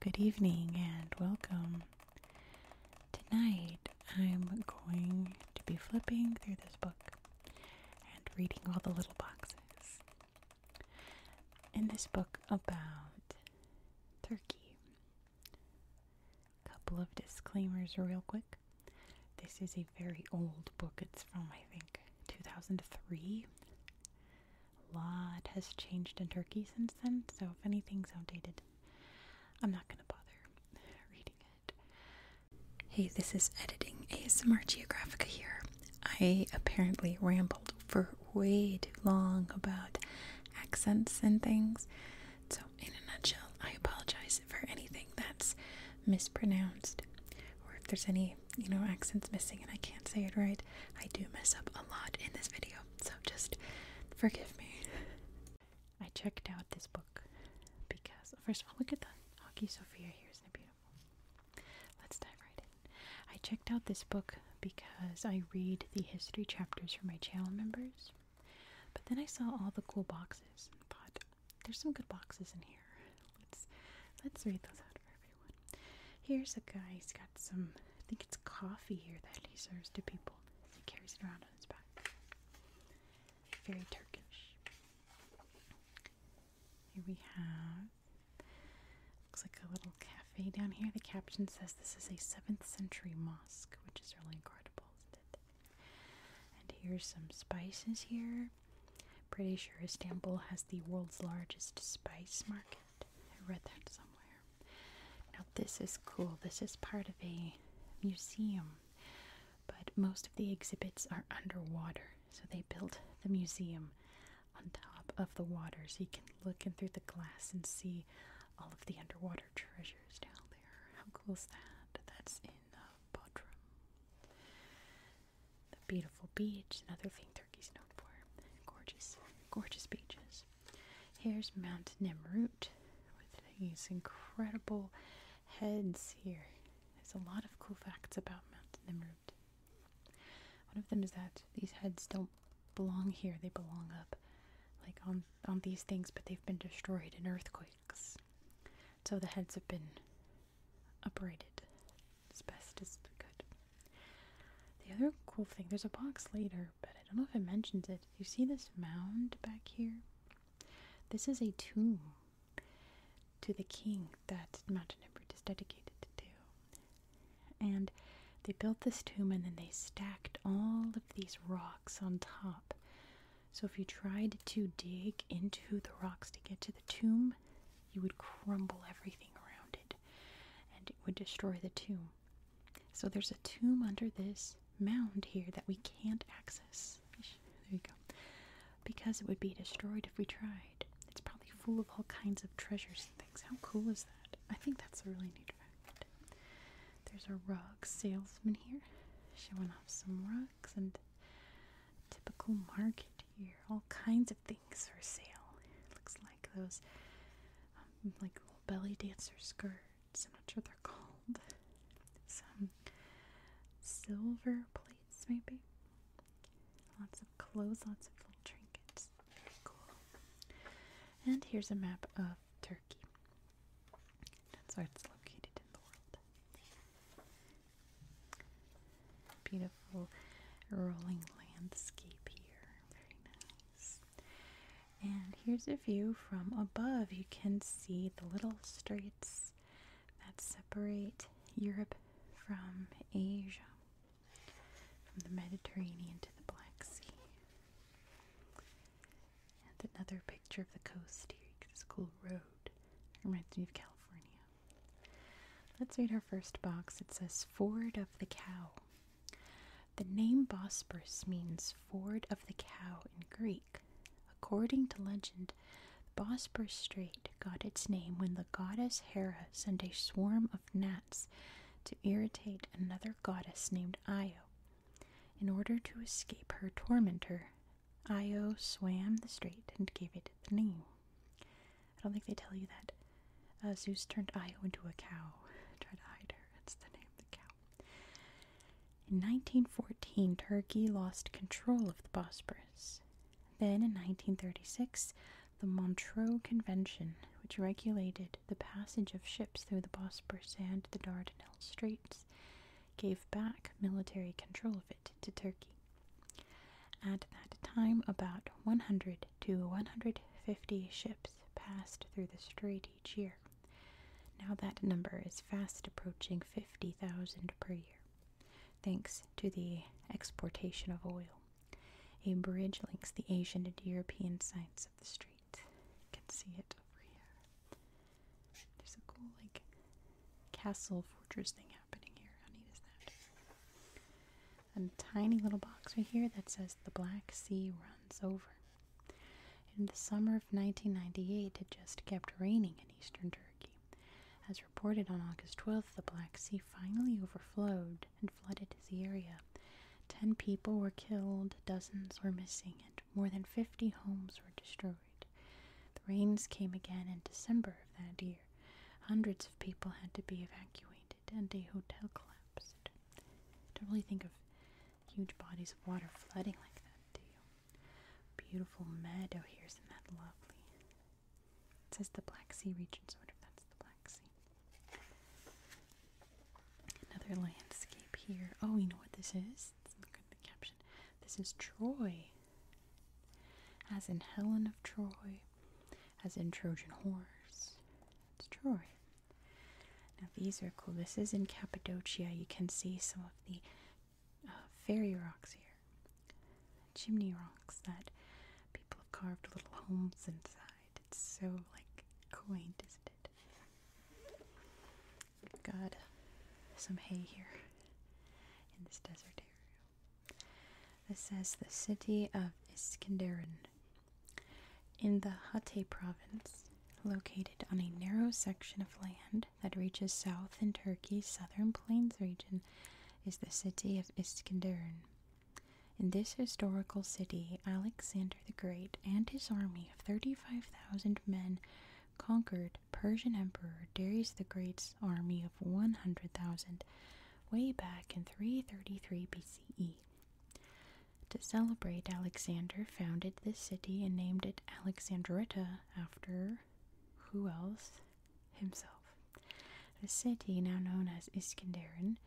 Good evening and welcome. Tonight I'm going to be flipping through this book and reading all the little boxes in this book about Turkey. A couple of disclaimers, real quick. This is a very old book. It's from, I think, 2003. A lot has changed in Turkey since then, so if anything's outdated, I'm not going to bother reading it. Hey, this is Editing ASMR Geographica here. I apparently rambled for way too long about accents and things. So, in a nutshell, I apologize for anything that's mispronounced or if there's any, you know, accents missing and I can't say it right. I do mess up a lot in this video, so just forgive me. I checked out this book because, first of all, look at the Hockey Sophia. Here's the beauty. Let's dive right in. I checked out this book because I read the history chapters for my channel members, but then I saw all the cool boxes and thought, there's some good boxes in here. Let's let's read those out for everyone. Here's a guy. He's got some. I think it's coffee here that he serves to people. He carries it around on his back. Very Turkish. Here we have Looks like a little cafe down here. The caption says this is a 7th century mosque, which is really incredible, isn't it? And here's some spices here. Pretty sure Istanbul has the world's largest spice market. I read that somewhere. Now, this is cool. This is part of a museum, but most of the exhibits are underwater, so they built the museum on top of the water so you can look in through the glass and see all of the underwater treasures down there. How cool is that? That's in uh, Bodrum. The beautiful beach, another thing Turkey's known for. Gorgeous, gorgeous beaches. Here's Mount Nemrut with these incredible heads here. There's a lot of cool facts about Mount Nemrut. One of them is that these heads don't belong here, they belong up, like on, on these things, but they've been destroyed in earthquakes. So the heads have been uprighted as best as we could. The other cool thing, there's a box later, but I don't know if it mentions it. You see this mound back here? This is a tomb to the king thing that Mount is dedicated to. And they built this tomb and then they stacked all of these rocks on top. So if you tried to dig into the rocks to get to the tomb, you would crumble everything around it and it would destroy the tomb. So there's a tomb under this mound here that we can't access. There you go. Because it would be destroyed if we tried. It's probably full of all kinds of treasures and things. How cool is that? I think that's a really neat fact. There's a rug salesman here showing off some rugs and typical market here. All kinds of things for sale. It looks like those um, like little belly dancer skirts. I'm not sure they're called. Some silver plates maybe. Lots of clothes, lots of little trinkets. Cool. And here's a map of Turkey. That's where it's located in the world. Beautiful rolling landscape here. Very nice. And here's a view from above. You can see the little straits that separate Europe from Asia from the Mediterranean to the Black Sea. And another picture of the coast here. This cool road. It reminds me of California. Let's read our first box. It says Ford of the Cow. The name Bosporus means ford of the cow in Greek. According to legend, the Bosporus Strait got its name when the goddess Hera sent a swarm of gnats to irritate another goddess named Io. In order to escape her tormentor, Io swam the strait and gave it the name. I don't think they tell you that. Uh, Zeus turned Io into a cow. Try to hide her. It's the name of the cow. In 1914, Turkey lost control of the Bosporus. Then in 1936, the Montreux Convention, which regulated the passage of ships through the Bosporus and the Dardanelles Straits, gave back military control of it to Turkey. At that time, about 100 to 150 ships passed through the strait each year. Now that number is fast approaching 50,000 per year, thanks to the exportation of oil. A bridge links the Asian and European sides of the street. You can see it over here. There's a cool, like, castle fortress thing happening here. How neat is that? A tiny little box right here that says the Black Sea runs over. In the summer of 1998, it just kept raining in eastern Turkey. As reported on August 12th, the Black Sea finally overflowed and flooded the area. Ten people were killed, dozens were missing, and more than 50 homes were destroyed. The rains came again in December of that year. Hundreds of people had to be evacuated, and a hotel collapsed. don't really think of huge bodies of water flooding like that, do you? Beautiful meadow here, isn't that lovely? It says the Black Sea region, sort of. That's the Black Another landscape here. Oh, you know what this is? Let's look caption. This is Troy. As in Helen of Troy, as in Trojan horse. It's Troy. Now these are cool. This is in Cappadocia. You can see some of the uh, fairy rocks here, chimney rocks that people have carved little homes inside. It's so like quaint, isn't it? Got some hay here in this desert area. This says the city of Iskenderun in the Hatay province, located on a narrow section of land that reaches south in Turkey's southern plains region, is the city of Iskenderun. In this historical city, Alexander the Great and his army of 35,000 men conquered Persian Emperor Darius the Great's army of 100,000 way back in 333 BCE. To celebrate, Alexander founded this city and named it Alexandrita after who else? Himself. The city, now known as Iskenderun,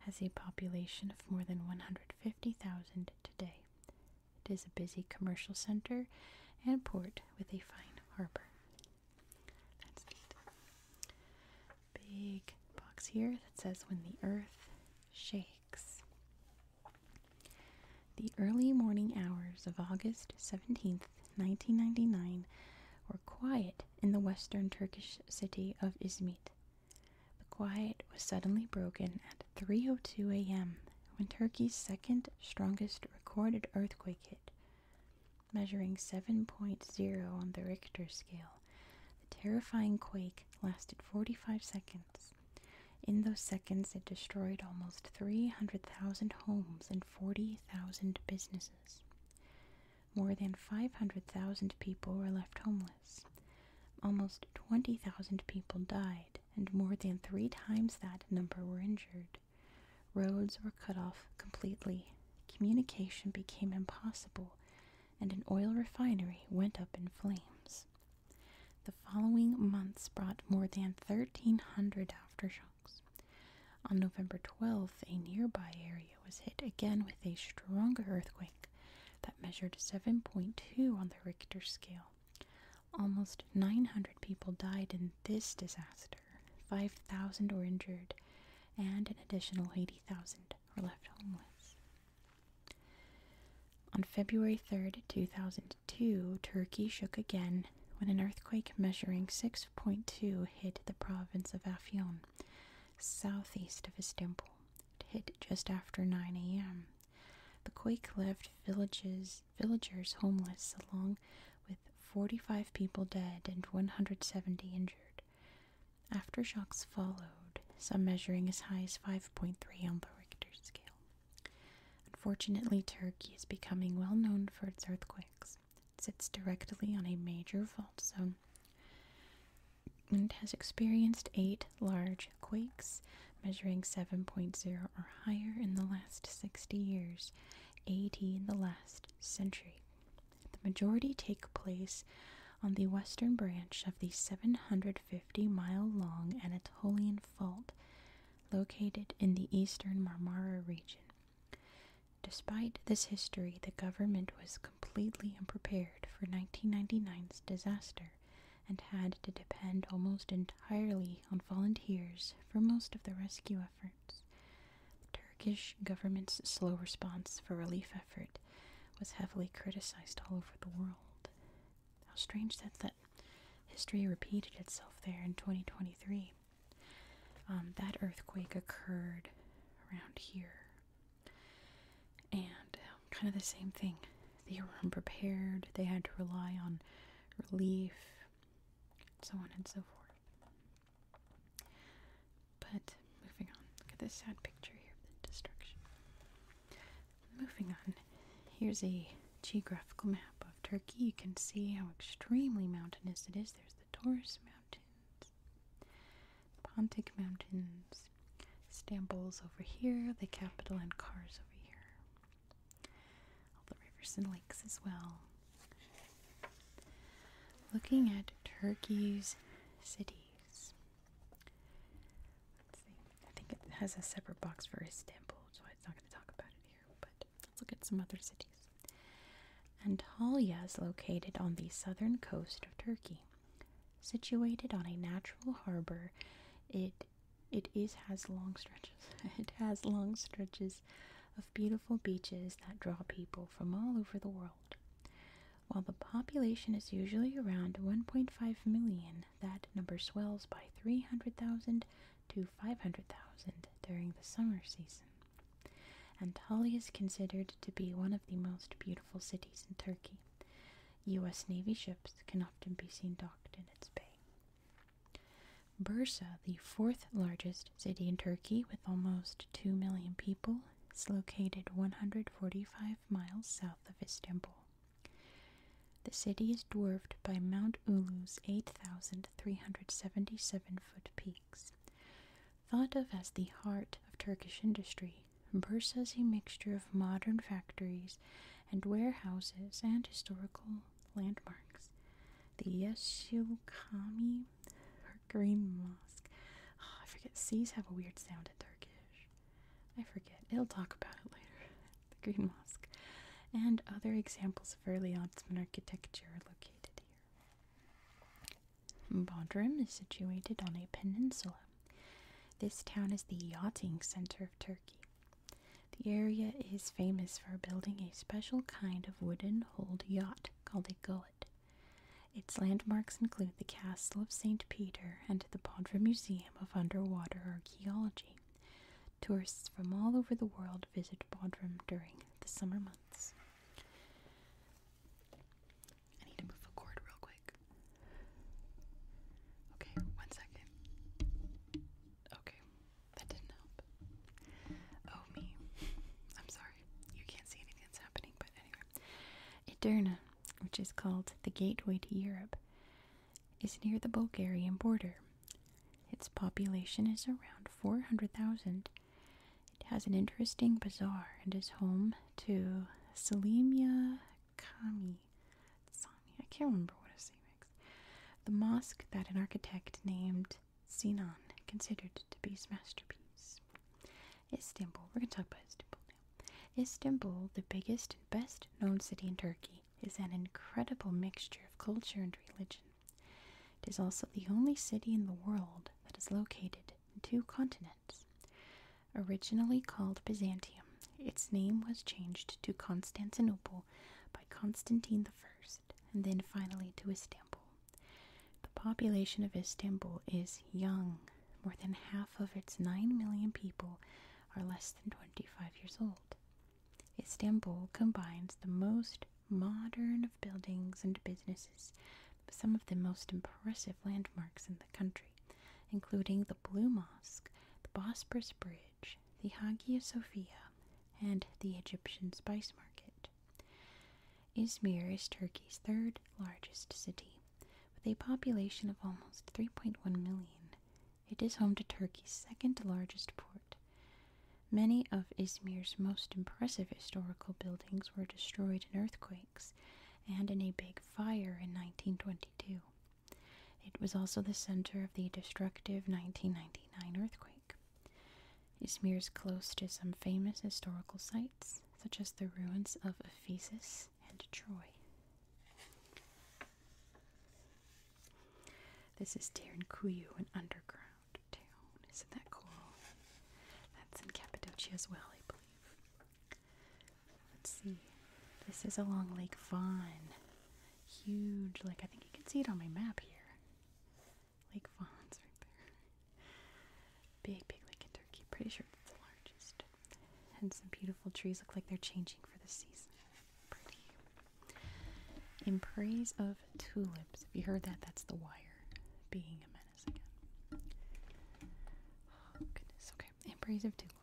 has a population of more than 150,000 today. It is a busy commercial center and port with a fine harbor. That's Big box here that says when the earth shakes. The early morning hours of August 17th, 1999 were quiet in the western Turkish city of Izmit. The quiet was suddenly broken at 3:02 a.m. when Turkey's second strongest recorded earthquake hit, measuring 7.0 on the Richter scale. The terrifying quake lasted 45 seconds. In those seconds, it destroyed almost 300,000 homes and 40,000 businesses. More than 500,000 people were left homeless. Almost 20,000 people died, and more than three times that number were injured. Roads were cut off completely, communication became impossible, and an oil refinery went up in flames. The following months brought more than 1,300 aftershocks. On November 12th, a nearby area area was hit again with a stronger earthquake that measured 7.2 on the Richter scale. Almost 900 people died in this disaster, 5,000 were injured, and an additional 80,000 were left homeless. On February 3, 2002, Turkey shook again when an earthquake measuring 6.2 hit the province of Afyon, southeast of Istanbul hit just after 9 a.m. The quake left villages, villagers homeless, along with 45 people dead and 170 injured. Aftershocks followed, some measuring as high as 5.3 on the Richter scale. Unfortunately, Turkey is becoming well known for its earthquakes. It sits directly on a major fault zone and has experienced eight large quakes, measuring 7.0 or higher in the last 60 years, 80 in the last century. The majority take place on the western branch of the 750 mile long Anatolian Fault, located in the eastern Marmara region. Despite this history, the government was completely unprepared for 1999's disaster and had to depend almost entirely on volunteers for most of the rescue efforts. The Turkish government's slow response for relief effort was heavily criticized all over the world. How strange that that history repeated itself there in 2023. Um, that earthquake occurred around here and um, kind of the same thing. They were unprepared, they had to rely on relief, so on and so forth. But moving on, look at this sad picture here of the destruction. Moving on, here's a geographical map of Turkey. You can see how extremely mountainous it is. There's the Taurus Mountains, Pontic Mountains. Stamboul's over here, the capital and cars over here. All the rivers and lakes as well. Looking at Turkey's cities. I think it has a separate box for Istanbul, so it's not going to talk about it here, but let's look at some other cities. Antalya is located on the southern coast of Turkey. Situated on a natural harbor, it it is has long stretches. It has long stretches of beautiful beaches that draw people from all over the world. While the population is usually around 1.5 million, that number swells by 300,000 to 500,000 during the summer season. Antalya is considered to be one of the most beautiful cities in Turkey. U.S. Navy ships can often be seen docked in its bay. Bursa, the fourth largest city in Turkey with almost 2 million people, is located 145 miles south of Istanbul. The city is dwarfed by Mount Ulu's 8,377 foot peaks. Thought of as the heart of Turkish industry, today. is a mixture of modern factories and warehouses and historical landmarks. The or Green Mosque. Ah, I forget. C's have a weird sound in Turkish. I forget. It'll talk about it later. the Green Mosque. And other examples of early Ottoman architecture are located here. Bodrum is situated on a peninsula this town is the yachting center of Turkey. The area is famous for building a special kind of wooden holed yacht called a goet. Its landmarks include the Castle of St. Peter and the Bodrum Museum of Underwater Archaeology. Tourists from all over the world visit Bodrum during the summer months. I need to move the cord real quick. Okay, one second. Okay, that didn't help. Oh, me. I'm sorry. You can't see anything that's happening, but anyway. Edirne, which is called the gateway to Europe, is near the Bulgarian border. Its population is around 400,000. It has an interesting bazaar and is home to Selimia Kami Sani. I can't remember what I name next. The mosque that an architect named Sinan considered to be his masterpiece. is Istanbul. We're going to talk about Istanbul now. Istanbul, the biggest and best known city in Turkey, is an incredible mixture of culture and religion. It is also the only city in the world that is located in two continents Originally called Byzantium, its name was changed to Constantinople by Constantine the First, and then finally to Istanbul. The population of Istanbul is young. More than half of its 9 million people are less than 25 years old. Istanbul combines the most modern of buildings and businesses with some of the most impressive landmarks in the the country, including the Blue Mosque, the Bosporus Bridge, the Hagia Sophia, and the Egyptian Spice Market. Izmir is Turkey's third largest city, with a population of almost 3.1 million. It is home to Turkey's second largest port. Many of Izmir's most impressive historical buildings were destroyed in earthquakes and in a big fire in 1922. It was also the center of the destructive 1999 earthquake. It's Izmir's close to some famous historical sites, such as the ruins of Ephesus and Troy. This is Terinkuyu, an underground town. Isn't that cool? That's in Cappadocia as well, I believe. Let's see. This is along Lake Vaughn. Huge Like I think you can see it on my map here. Lake Vaughn's right there. Big, big lake in Turkey. Pretty sure it's the largest. And some beautiful trees look like they're changing for the season. Pretty. In praise of tulips. If you heard that, that's the wire being a menace again. Oh, goodness. Okay. In praise of tulips.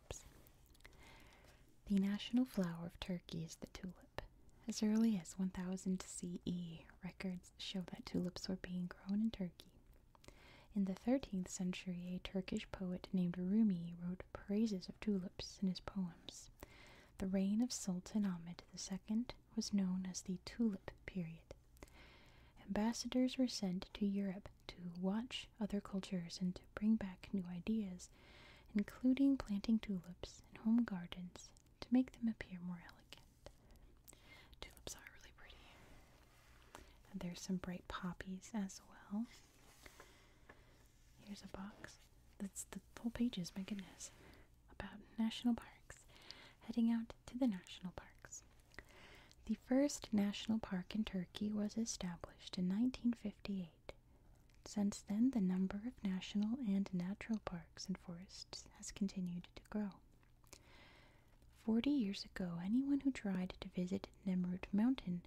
The national flower of Turkey is the tulip. As early as 1000 CE, records show that tulips were being grown in Turkey. In the 13th century, a Turkish poet named Rumi wrote praises of tulips in his poems. The reign of Sultan Ahmed II was known as the Tulip Period. Ambassadors were sent to Europe to watch other cultures and to bring back new ideas, including planting tulips in home gardens to make them appear more elegant. Tulips are really pretty. And there's some bright poppies as well. Here's a box. That's the full pages, my goodness. About national parks. Heading out to the national parks. The first national park in Turkey was established in 1958. Since then, the number of national and natural parks and forests has continued to grow. Forty years ago, anyone who tried to visit Nemrut Mountain,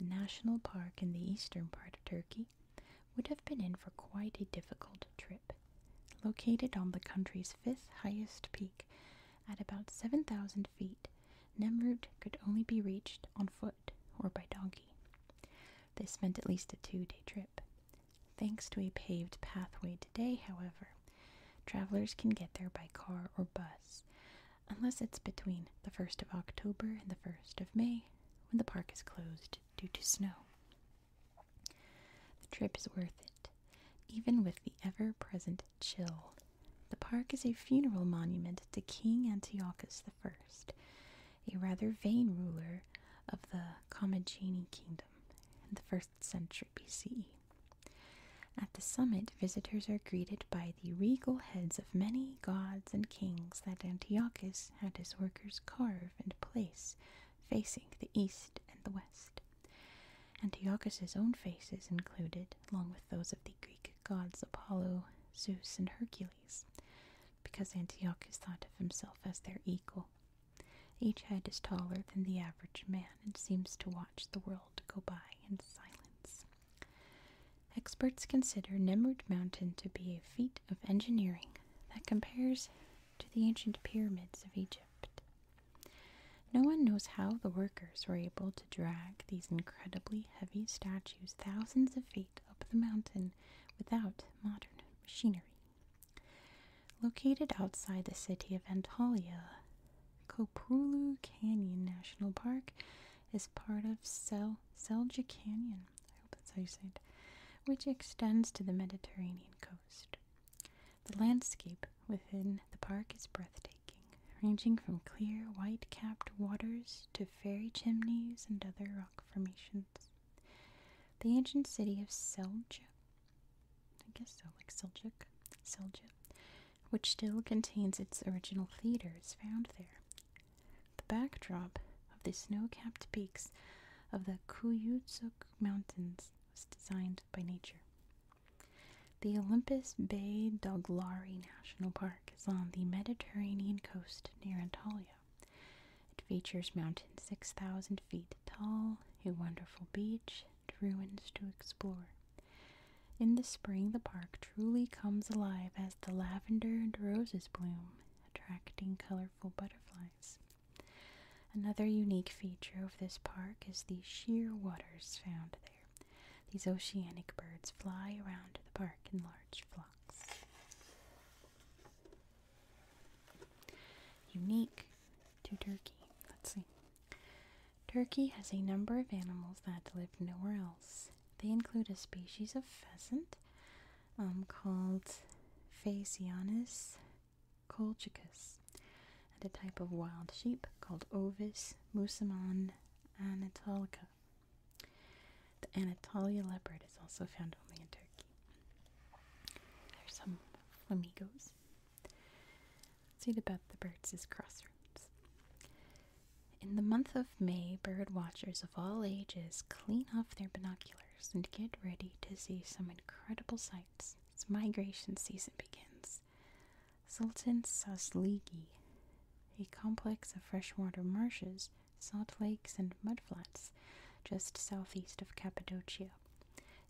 a national park in the eastern part of Turkey, would have been in for quite a difficult trip. Located on the country's fifth highest peak at about 7,000 feet, Nemrut could only be reached on foot or by donkey. This meant at least a two day trip. Thanks to a paved pathway today, however, travelers can get there by car or bus, unless it's between the 1st of October and the 1st of May, when the park is closed due to snow. The trip is worth it, even with the ever present chill the park is a funeral monument to King Antiochus I, a rather vain ruler of the Commagene kingdom in the 1st century BCE. At the summit, visitors are greeted by the regal heads of many gods and kings that Antiochus had his workers carve and place facing the east and the west. Antiochus's own face is included, along those of the Greek gods Apollo, Zeus, and Hercules, because Antiochus thought of himself as their equal. Each head is taller than the average man and seems to watch the world go by in silence. Experts consider Nemrut Mountain to be a feat of engineering that compares to the ancient pyramids of Egypt. No one knows how the workers were able to drag these incredibly heavy statues thousands of feet up the mountain without modern machinery. Located outside the city of Antalya, Koprulu Canyon National Park is part of Selcuk Canyon, I hope that's how you say which extends to the Mediterranean coast. The landscape within the park is breathtaking ranging from clear, white capped waters to fairy chimneys and other rock formations. The ancient city of Selj, I guess so, like Seljuk, Selja, which still contains its original theaters, found there. The backdrop of the snow capped peaks of the Kuyutsuk Mountains was designed by nature. The Olympus Bay Doglari National Park is on the Mediterranean coast near Antalya. It features mountains 6,000 feet tall, a wonderful beach, and ruins to explore. In the spring, the park truly comes alive as the lavender and roses bloom, attracting colorful butterflies. Another unique feature of this park is the sheer waters found there. These oceanic birds fly around the park in large flocks. Unique to Turkey. Let's see. Turkey has a number of animals that live nowhere else. They include a species of pheasant um, called Phasianus colchicus, and a type of wild sheep called Ovis musamon anatolica. The Anatolia leopard is also found only in Turkey. There's some flamingos. Let's read about the birds' crossroads. In the month of May, bird watchers of all ages clean off their binoculars and get ready to see some incredible sights as migration season begins. Sultan Sasligi a complex of freshwater marshes, salt lakes, and mudflats just southeast of Cappadocia,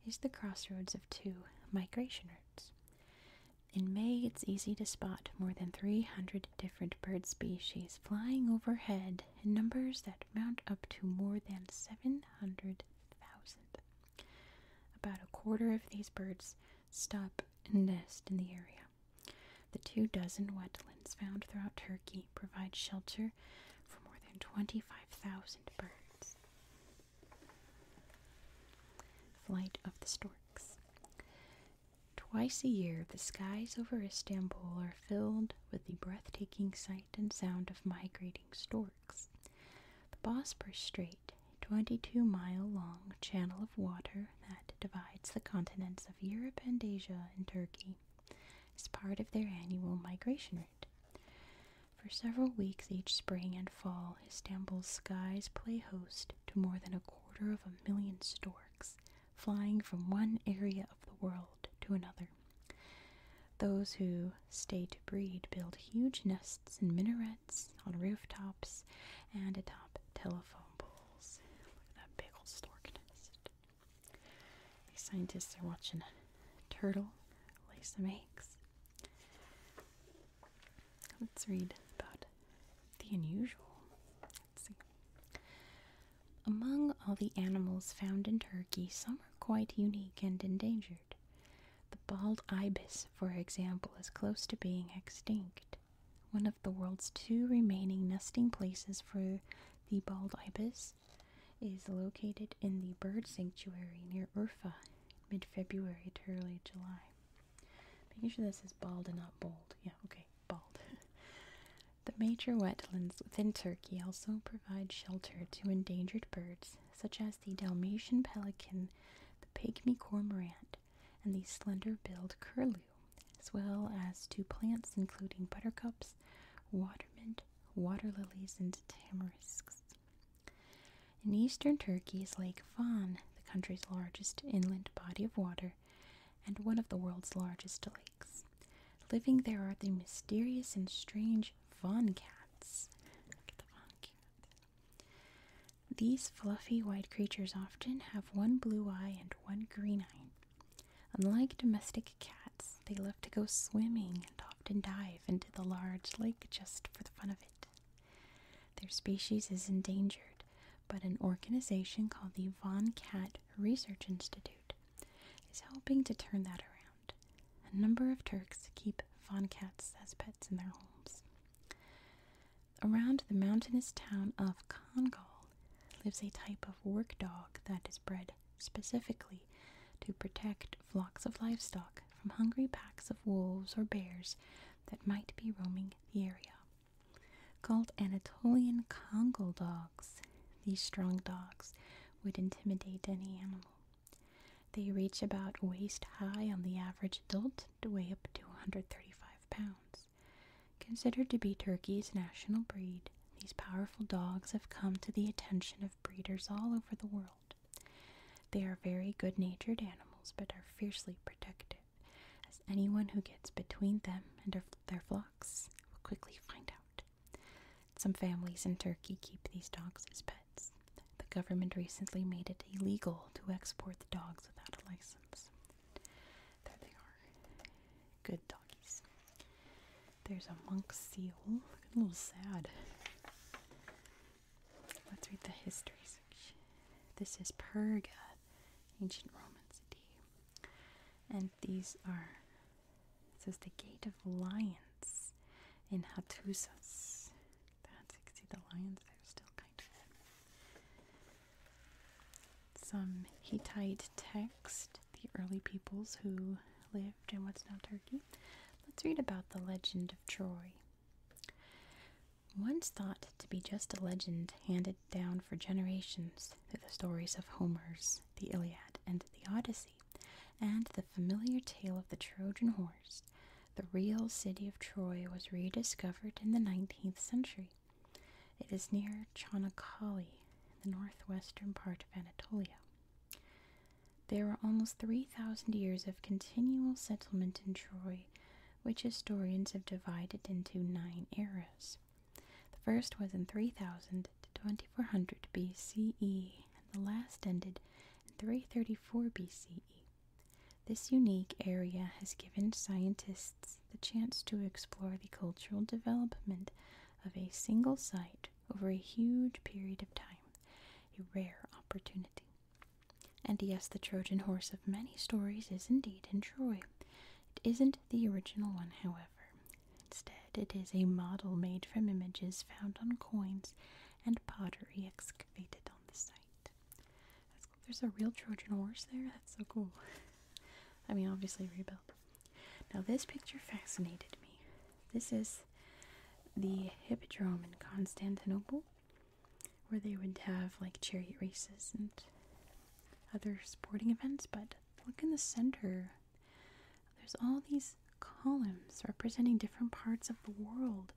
is the crossroads of two migration routes. In May, it's easy to spot more than 300 different bird species flying overhead in numbers that mount up to more than 700,000. About a quarter of these birds stop and nest in the area. The two dozen wetlands found throughout Turkey provide shelter for more than 25,000 birds. Flight of the Storks. Twice a year, the skies over Istanbul are filled with the breathtaking sight and sound of migrating storks. The Bosporus Strait, a 22 mile long channel of water that divides the continents of Europe and Asia and Turkey is part of their annual migration route. For several weeks each spring and fall, Istanbul's skies play host to more than a quarter of a million storks flying from one area of the world to another. Those who stay to breed build huge nests in minarets, on rooftops, and atop telephone poles pickles. Look at stork nest. These scientists are watching a turtle lay some eggs. Let's read about the unusual. Among all the animals found in Turkey, some are quite unique and endangered. The bald ibis, for example, is close to being extinct one of the world's two remaining nesting places for the bald ibis, is located in the bird sanctuary near Urfa, mid February to early July. Making sure this is bald and not bold. Yeah, okay, bald. the major wetlands within Turkey also provide shelter to endangered birds, such as the Dalmatian pelican, the pygmy cormorant, and the slender-billed curlew, as well as to plants including buttercups, watermint, water lilies, and tamarisks. In eastern Turkey is Lake Van, the country's largest inland body of water and one of the world's largest lakes. Living there are the mysterious and strange Van cats. Look at the Van cat. These fluffy white creatures often have one blue eye and one green eye. Unlike domestic cats, they love to go swimming and often dive into the large lake just for the fun of it. Their species is endangered, but an organization called the Von Cat Research Institute is helping to turn that around. A number of Turks keep Von cats as pets in their homes. Around the mountainous town of Congal lives a type of work dog that is bred specifically to protect flocks of livestock from hungry packs of wolves or bears that might be roaming the area. Called Anatolian Congal dogs, these strong dogs would intimidate any animal. They reach about waist high on the average adult to weigh up to 135 pounds. Considered to be Turkey's national breed, these powerful dogs have come to the attention of breeders all over the world. They are very good natured animals but are fiercely protective, as anyone who gets between them and their flocks will quickly find out. Some families in Turkey keep these dogs as pets. The government recently made it illegal to export the dogs without a license. There they are. Good doggies. There's a monk seal. Look a little sad. Let's read the history section. This is Perga, ancient Roman city. And these are it says the Gate of Lions in Hattusas. That's you can see the lions there still kind of some Hittite text, the early peoples who lived in what's now Turkey. Let's read about the legend of Troy. Once thought to be just a legend handed down for generations through the stories of Homer's The Iliad and The Odyssey, and the familiar tale of the Trojan horse, the real city of Troy was rediscovered in the 19th century it is near in the northwestern part of Anatolia. There are almost 3,000 years of continual settlement in Troy, which historians have divided into nine eras. The first was in 3000 to 2400 BCE, and the last ended in 334 BCE. This unique area has given scientists the chance to explore the cultural development of a single site over a huge period of time, a rare opportunity. And yes, the Trojan horse of many stories is indeed in Troy. It isn't the original one, however. Instead, it is a model made from images found on coins and pottery excavated on the site. There's a real Trojan horse there. That's so cool. I mean, obviously rebuilt. Now, this picture fascinated me. This is the hippodrome in Constantinople, where they would have like chariot races and other sporting events. But look in the center, there's all these columns representing different parts of the world.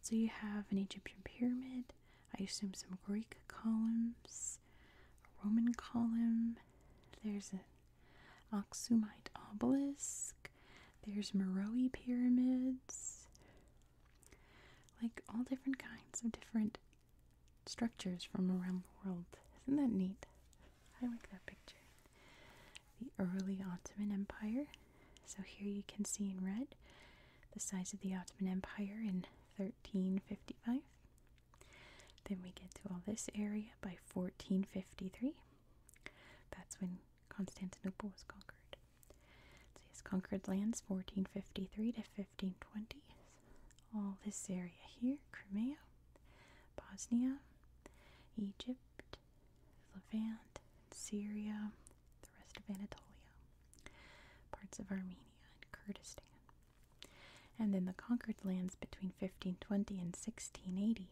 So you have an Egyptian pyramid, I assume some Greek columns, a Roman column. There's an Oxumite obelisk. There's Meroe pyramids. Like all different kinds of different structures from around the world. Isn't that neat? I like that picture. The early Ottoman Empire. So here you can see in red the size of the Ottoman Empire in 1355. Then we get to all this area by 1453. That's when Constantinople was conquered. So he's conquered lands 1453 to 1520. All this area here Crimea, Bosnia, Egypt, Levant, Syria, the rest of Anatolia, parts of Armenia and Kurdistan. And then the conquered lands between 1520 and 1680.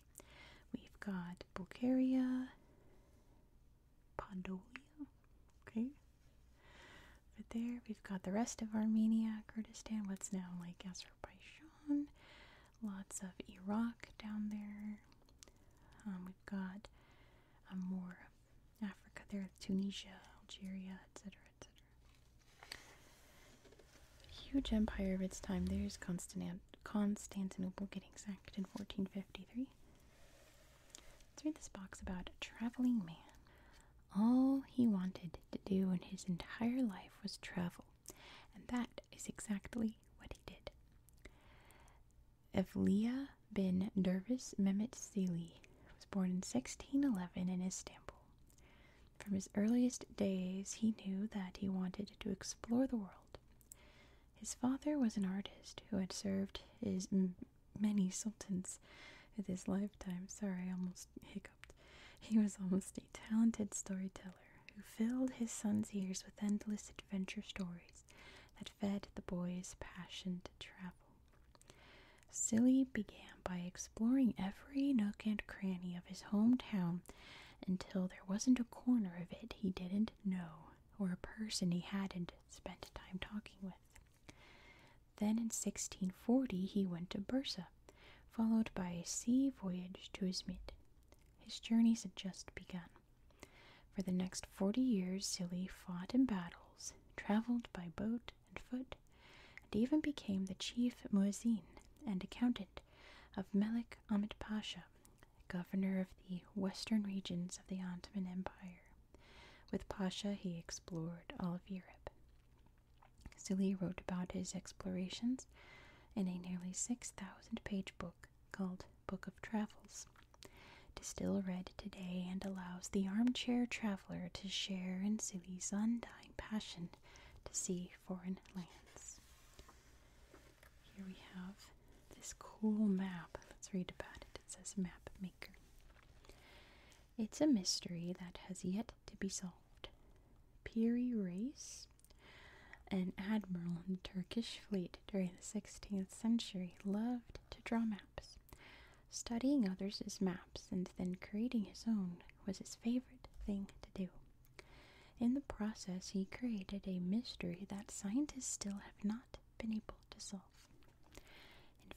We've got Bulgaria, Podolia, okay. Over there, we've got the rest of Armenia, Kurdistan, what's now like Azerbaijan, lots of Iraq down there. Um, we've got um, more Africa there, Tunisia, Algeria, etc., etc. Huge empire of its time. There's Constantinople getting sacked in 1453. Let's read this box about a traveling man. All he wanted to do in his entire life was travel, and that is exactly what he did. Evliya bin Dervis Memet Selim was born in 1611 in Istanbul. From his earliest days, he knew that he wanted to explore the world. His father was an artist who had served his many sultans In his lifetime. Sorry, I almost hiccuped. He was almost a talented storyteller who filled his son's ears with endless adventure stories that fed the boy's passion to travel. Silly began by exploring every nook and cranny of his hometown until there wasn't a corner of it he didn't know or a person he hadn't spent time talking with. Then in 1640 he went to Bursa, followed by a sea voyage to Izmit. His journeys had just begun. For the next 40 years, Silly fought in battles, traveled by boat, and foot, and even became the chief muezzin and accountant of Melik Ahmed Pasha, governor of the western regions of the Ottoman Empire. With Pasha, he explored all of Europe. Zili wrote about his explorations in a nearly 6,000 page book called Book of Travels. still read today and allows the armchair traveler to share in Zili's undying passion to see foreign lands. Here we have this cool map. Let's read about it. It says Map Maker. It's a mystery that has yet to be solved. Piri Reis, an admiral in the Turkish fleet during the 16th century, loved to draw maps. Studying others' maps and then creating his own was his favorite thing to do. In the process, he created a mystery that scientists still have not been able to solve.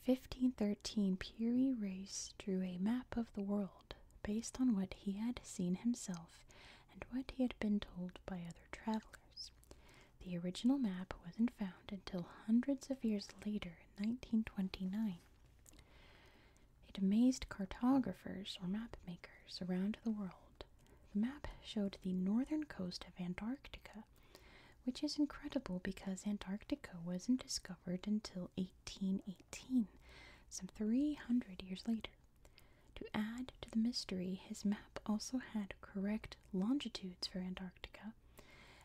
In 1513, Peary Race drew a map of the world based on what he had seen himself and what he had been told by other travelers. The original map wasn't found until hundreds of years later in 1929. It amazed cartographers or map makers around the world. The map showed the northern coast of Antarctica, which is incredible because Antarctica wasn't discovered until 1818, some 300 years later. To add to the mystery, his map also had correct longitudes for Antarctica,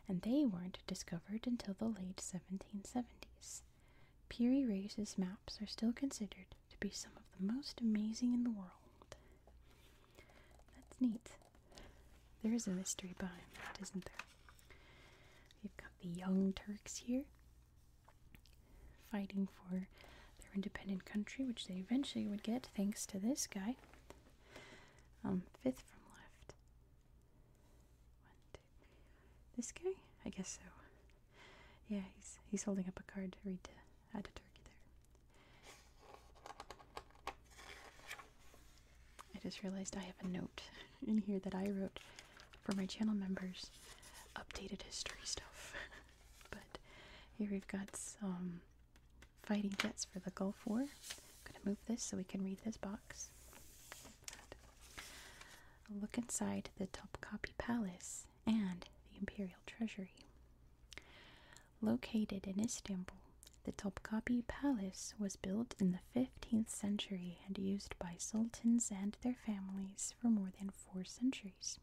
and they weren't discovered until the late 1770s. Peary Reyes' maps are still considered to be some of the most amazing in the world. That's neat. There is a mystery behind that, isn't there? We've got the Young Turks here, fighting for their independent country, which they eventually would get thanks to this guy. Um, fifth from left. This guy? I guess so. Yeah, he's he's holding up a card to read to add a turkey there. I just realized I have a note in here that I wrote for my channel members. Updated history stuff. but here we've got some fighting jets for the Gulf War. I'm gonna move this so we can read this box. A look inside the Topkapi Palace and the Imperial Treasury. Located in Istanbul, the Topkapi Palace was built in the 15th century and used by sultans and their families for more than four centuries.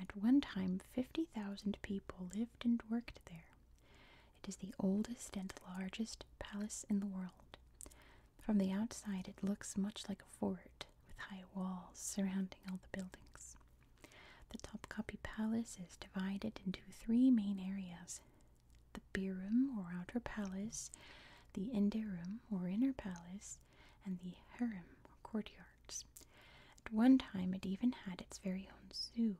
At one time, 50,000 people lived and worked there. It is the oldest and largest palace in the world. From the outside, it looks much like a fort with high walls surrounding all the buildings. The Topkapi Palace is divided into three main areas the Beer or Outer Palace, the Inde or Inner Palace, and the Harem or Courtyards. At one time, it even had its very own zoo.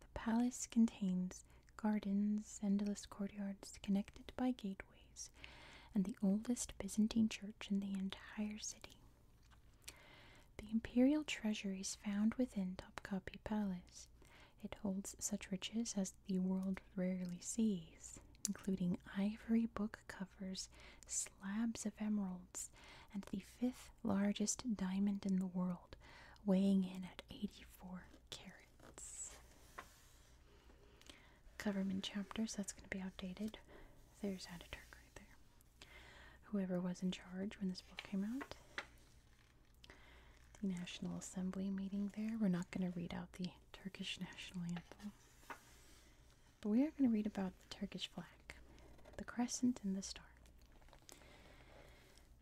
The palace contains gardens, endless courtyards connected by gateways, and the oldest Byzantine church in the entire city. The imperial treasury is found within Topkapi Palace. It holds such riches as the world rarely sees, including ivory book covers, slabs of emeralds, and the fifth largest diamond in the world, weighing in at 84 carats it's government chapters. That's going to be outdated. There's Ataturk right there. Whoever was in charge when this book came out. The National Assembly meeting there. We're not going to read out the Turkish national anthem. But we are going to read about the Turkish flag, the crescent and the star.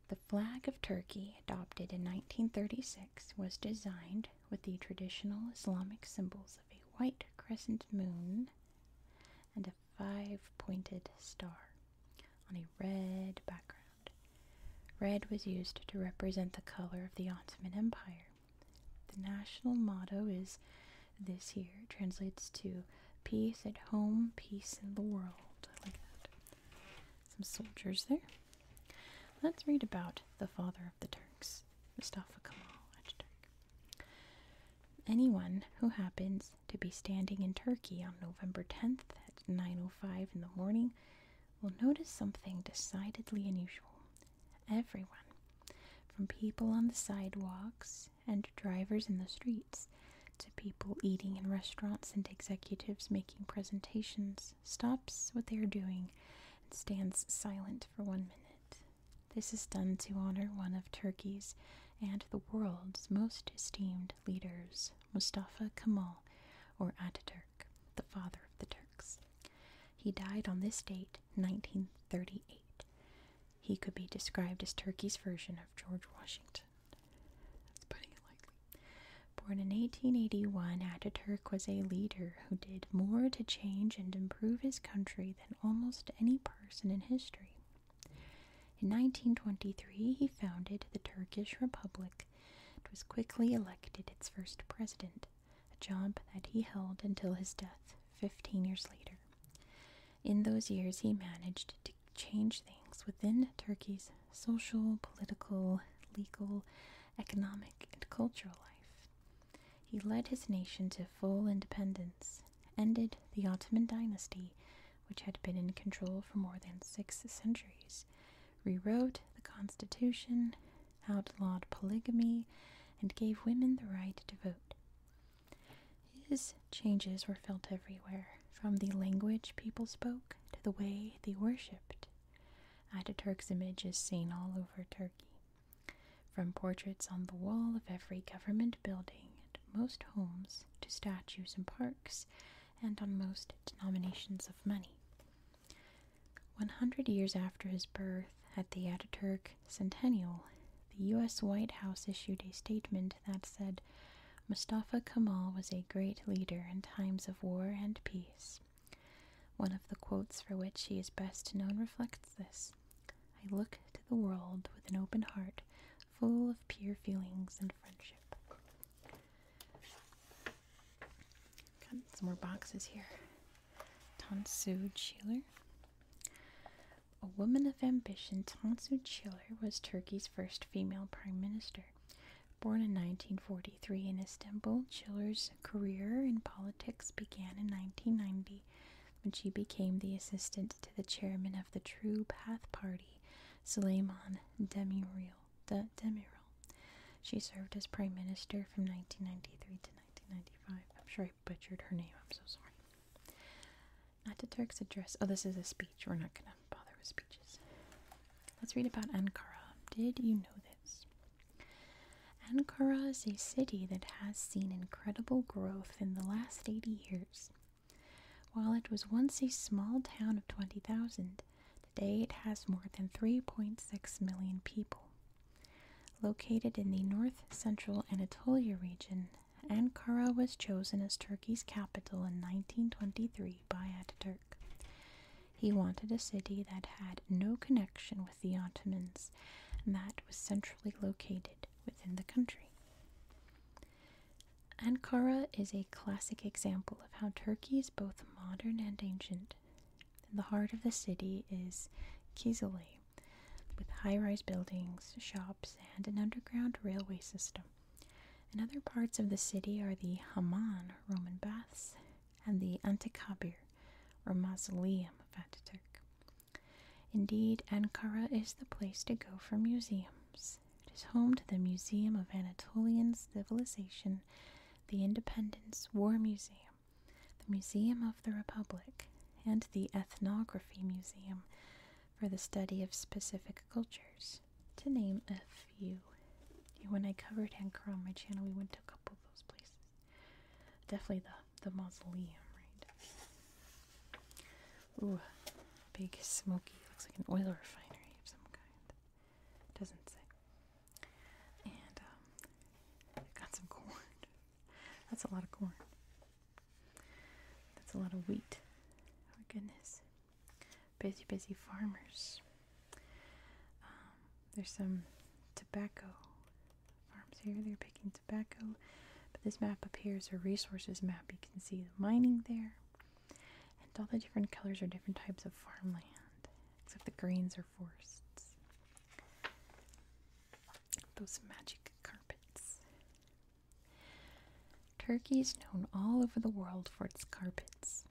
The flag of Turkey, adopted in 1936, was designed with the traditional Islamic symbols of a white crescent moon and a five pointed star on a red background. Red was used to represent the color of the Ottoman Empire. The national motto is this here. translates to peace at home, peace in the world. I like that. Some soldiers there. Let's read about the father of the Turks, Mustafa Kemal Ataturk. Anyone who happens to be standing in Turkey on November 10th at 9:05 in the morning will notice something decidedly unusual. Everyone, from people on the sidewalks and drivers in the streets, to people eating in restaurants and executives making presentations stops what they are doing stands silent for one minute. This is done to honor one of Turkey's and the world's most esteemed leaders, Mustafa Kemal, or Ataturk, the father of the Turks. He died on this date, 1938. He could be described as Turkey's version of George Washington. That's putting it Born in 1881, Ataturk was a leader who did more to change and improve his country than almost any person in history. In 1923, he founded the Turkish Republic and was quickly elected its first president, a job that he held until his death 15 years later. In those years, he managed to change things within Turkey's social, political, legal, economic, and cultural life. He led his nation to full independence, ended the Ottoman dynasty, which had been in control for more than six centuries, rewrote the constitution, outlawed polygamy, and gave women the right to vote. His changes were felt everywhere, from the language people spoke to the way they worshipped. Ataturk's image is seen all over Turkey, from portraits on the wall of every government building and most homes to statues in parks and on most denominations of money. 100 years after his birth, at the Ataturk Centennial, the U.S. White House issued a statement that said Mustafa Kemal was a great leader in times of war and peace. One of the quotes for which she is best known reflects this I look to the world with an open heart, full of pure feelings and friendship. Got some more boxes here. Tansu Chiller. A woman of ambition, Tansu Chiller was Turkey's first female prime minister. Born in 1943 in a Istanbul, Chiller's career in politics began in 1990 when she became the assistant to the chairman of the True Path Party, Süleyman Demirel. She served as prime minister from 1993 to 1995. I'm sure I butchered her name. I'm so sorry. Turks address. Oh, this is a speech. We're not going to bother with speeches. Let's read about Ankara. Did you know this? Ankara is a city that has seen incredible growth in the last 80 years. While it was once a small town of 20,000, today it has more than 3.6 million people. Located in the north central Anatolia region, Ankara was chosen as Turkey's capital in 1923 by Ataturk. He wanted a city that had no connection with the Ottomans and that was centrally located within the country. Ankara is a classic example of how Turkey is both modern and ancient. the heart of the city is Kizilay, with high rise buildings, shops, and an underground railway system. In other parts of the city are the Haman, Roman baths, and the Antikabir or mausoleum of Ataturk. Indeed, Ankara is the place to go for museums. It is home to the Museum of Anatolian Civilization, the Independence War Museum, the Museum of the Republic, and the Ethnography Museum for the study of specific cultures, to name a few. When I covered Ankara on my channel, we went to a couple of those places. Definitely the the mausoleum, right? Ooh, big smoky. Looks like an oil refinery of some kind. Doesn't say. And um, got some corn. That's a lot of corn. That's a lot of wheat. Oh goodness. Busy, busy farmers. Um, there's some tobacco farms here. They're picking tobacco. But this map up here is a resources map. You can see the mining there. And all the different colors are different types of farmland, except the greens are forests. Those magic carpets. Turkey is known all over the world for its carpets.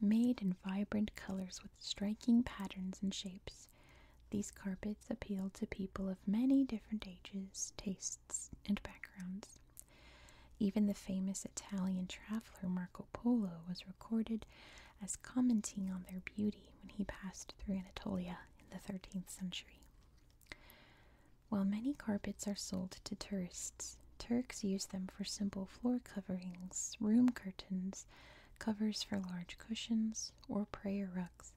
Made in vibrant colors with striking patterns and shapes, these carpets appeal to people of many different ages, tastes, and backgrounds. Even the famous Italian traveler Marco Polo was recorded as commenting on their beauty when he passed through Anatolia in the 13th century. While many carpets are sold to tourists, Turks use them for simple floor coverings, room curtains, covers for large cushions, or prayer rugs.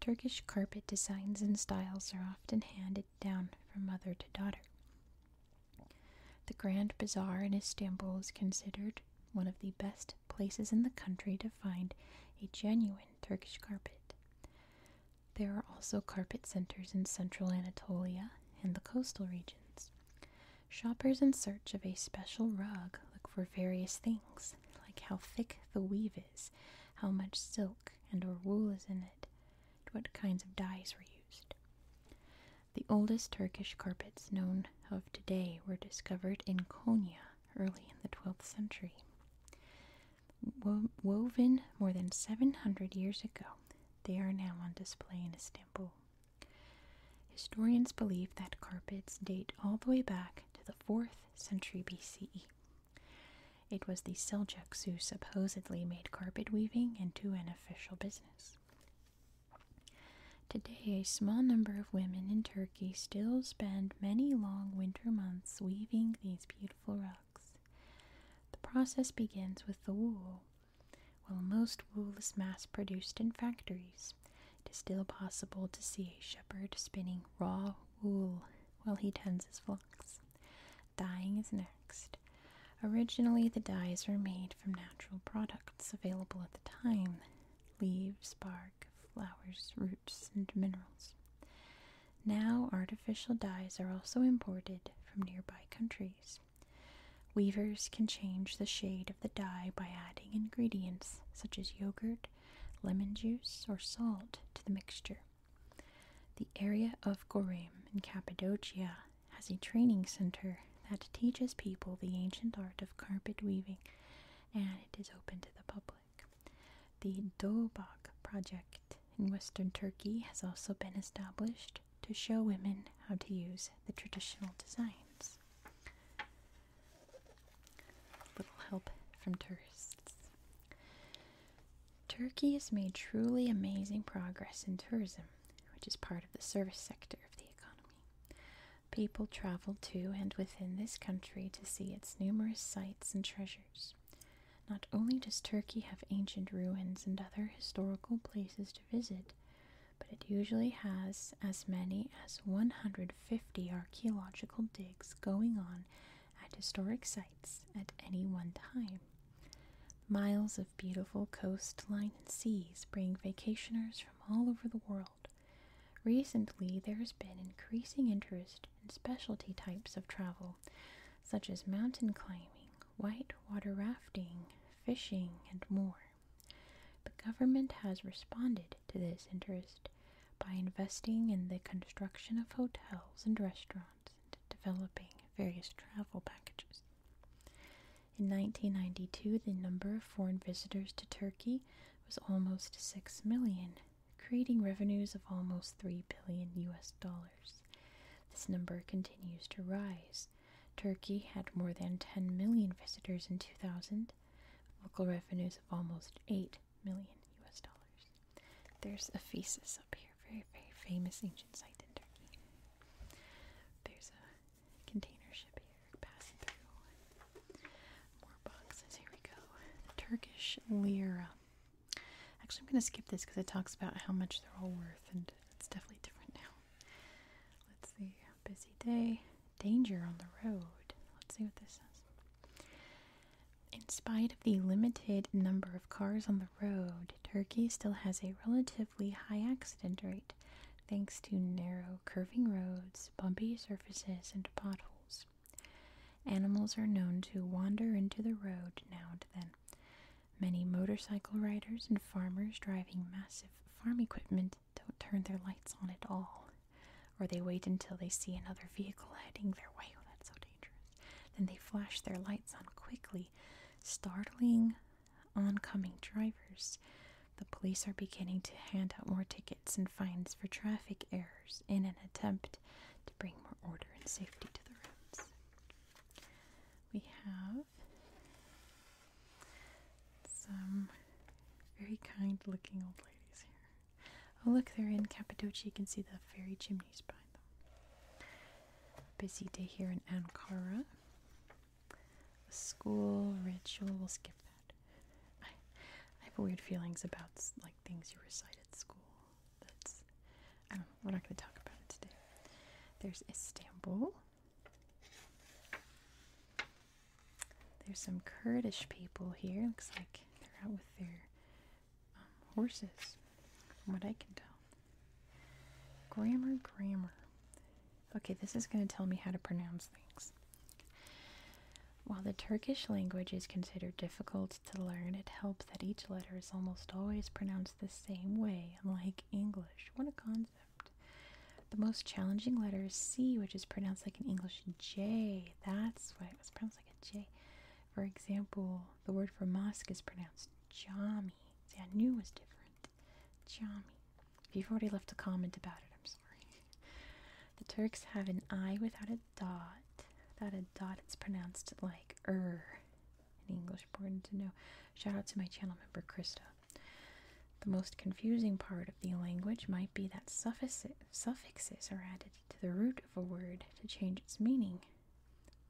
Turkish carpet designs and styles are often handed down from mother to daughter. The Grand Bazaar in Istanbul is considered one of the best places in the country to find a genuine Turkish carpet. There are also carpet centers in central Anatolia and the coastal regions. Shoppers in search of a special rug look for various things, like how thick the weave is, how much silk and or wool is in it, and what kinds of dyes were used. The oldest Turkish carpets known of today were discovered in Konya early in the 12th century. woven more than 700 years ago, they are now on display in Istanbul. Historians believe that carpets date all the way back to the 4th century BCE. It was the Seljuks who supposedly made carpet weaving into an official business. Today, a small number of women in Turkey still spend many long winter months weaving these beautiful rugs. The process begins with the wool. While most wool is mass produced in factories, it is still possible to see a shepherd spinning raw wool while he tends his flocks. Dyeing is next. Originally, the dyes were made from natural products available at the time leaves, bark, flowers, roots, and minerals. Now, artificial dyes are also imported from nearby countries. Weavers can change the shade the dye by adding ingredients such as yogurt, lemon juice, or salt to the mixture. The area of Goreme in Cappadocia has a training center that teaches people the ancient art of carpet weaving and it is open to the public. The Dobak project in western Turkey has also been established to show women how to use the traditional designs. Little help from tourists. Turkey has made truly amazing progress in tourism, which is part of the service sector of the economy. People travel to and within this country to see its numerous sites and treasures. Not only does Turkey have ancient ruins and other historical places to visit, but it usually has as many as 150 archaeological digs going on at historic sites at any one time. Miles of beautiful coastline and seas bring vacationers from all over the world. Recently, there has been increasing interest in specialty types of travel, such as mountain climbing, white water rafting, fishing, and more. The government has responded to this interest by investing in the construction of hotels and restaurants and developing various travel packages. In 1992, the number of foreign visitors to Turkey was almost 6 million, creating revenues of almost 3 billion US dollars. This number continues to rise. Turkey had more than 10 million visitors in 2000 local revenues of almost 8 million US dollars. There's Ephesus up here, very, very famous ancient site in Turkey. There's a container ship here passing through. More boxes, here we go. The Turkish lira. Actually, I'm going to skip this because it talks about how much they're all worth, and it's definitely different now. Let's see busy day. Danger on the road. Let's see what this says. In spite of the limited number of cars on the road, Turkey still has a relatively high accident rate thanks to narrow, curving roads, bumpy surfaces, and potholes. Animals are known to wander into the road now and then. Many motorcycle riders and farmers driving massive farm equipment don't turn their lights on at all, or they wait until they see another vehicle heading their way. Oh, that's so dangerous. Then they flash their lights on quickly, startling oncoming drivers. The police are beginning to hand out more tickets and fines for traffic errors in an attempt to bring more order and safety to the roads. We have some very kind looking old ladies here. Oh, look, they're in Cappadocia. You can see the fairy chimneys behind them. Busy day here in Ankara. school ritual, we'll skip that. I, I have weird feelings about like things you recite at school. That's, I don't know, we're not going to talk about it today. There's Istanbul. There's some Kurdish people here. Looks like they're out with their um, horses, from what I can tell. Grammar, grammar. Okay, this is going to tell me how to pronounce things. While the Turkish language is considered difficult to learn, it helps that each letter is almost always pronounced the same way, unlike English. What a concept. The most challenging letter is C, which is pronounced like an English J. That's why it was pronounced like a J. For example, the word for mosque is pronounced Jami. See, I knew it was different. Jami. If you've already left a comment about it, I'm sorry. The Turks have an I without a dot. Without a dot, it's pronounced like er. In English, important to know. Shout out to my channel member, Krista. The most confusing part the language might be that suffixes are added to the root of a word to change its meaning.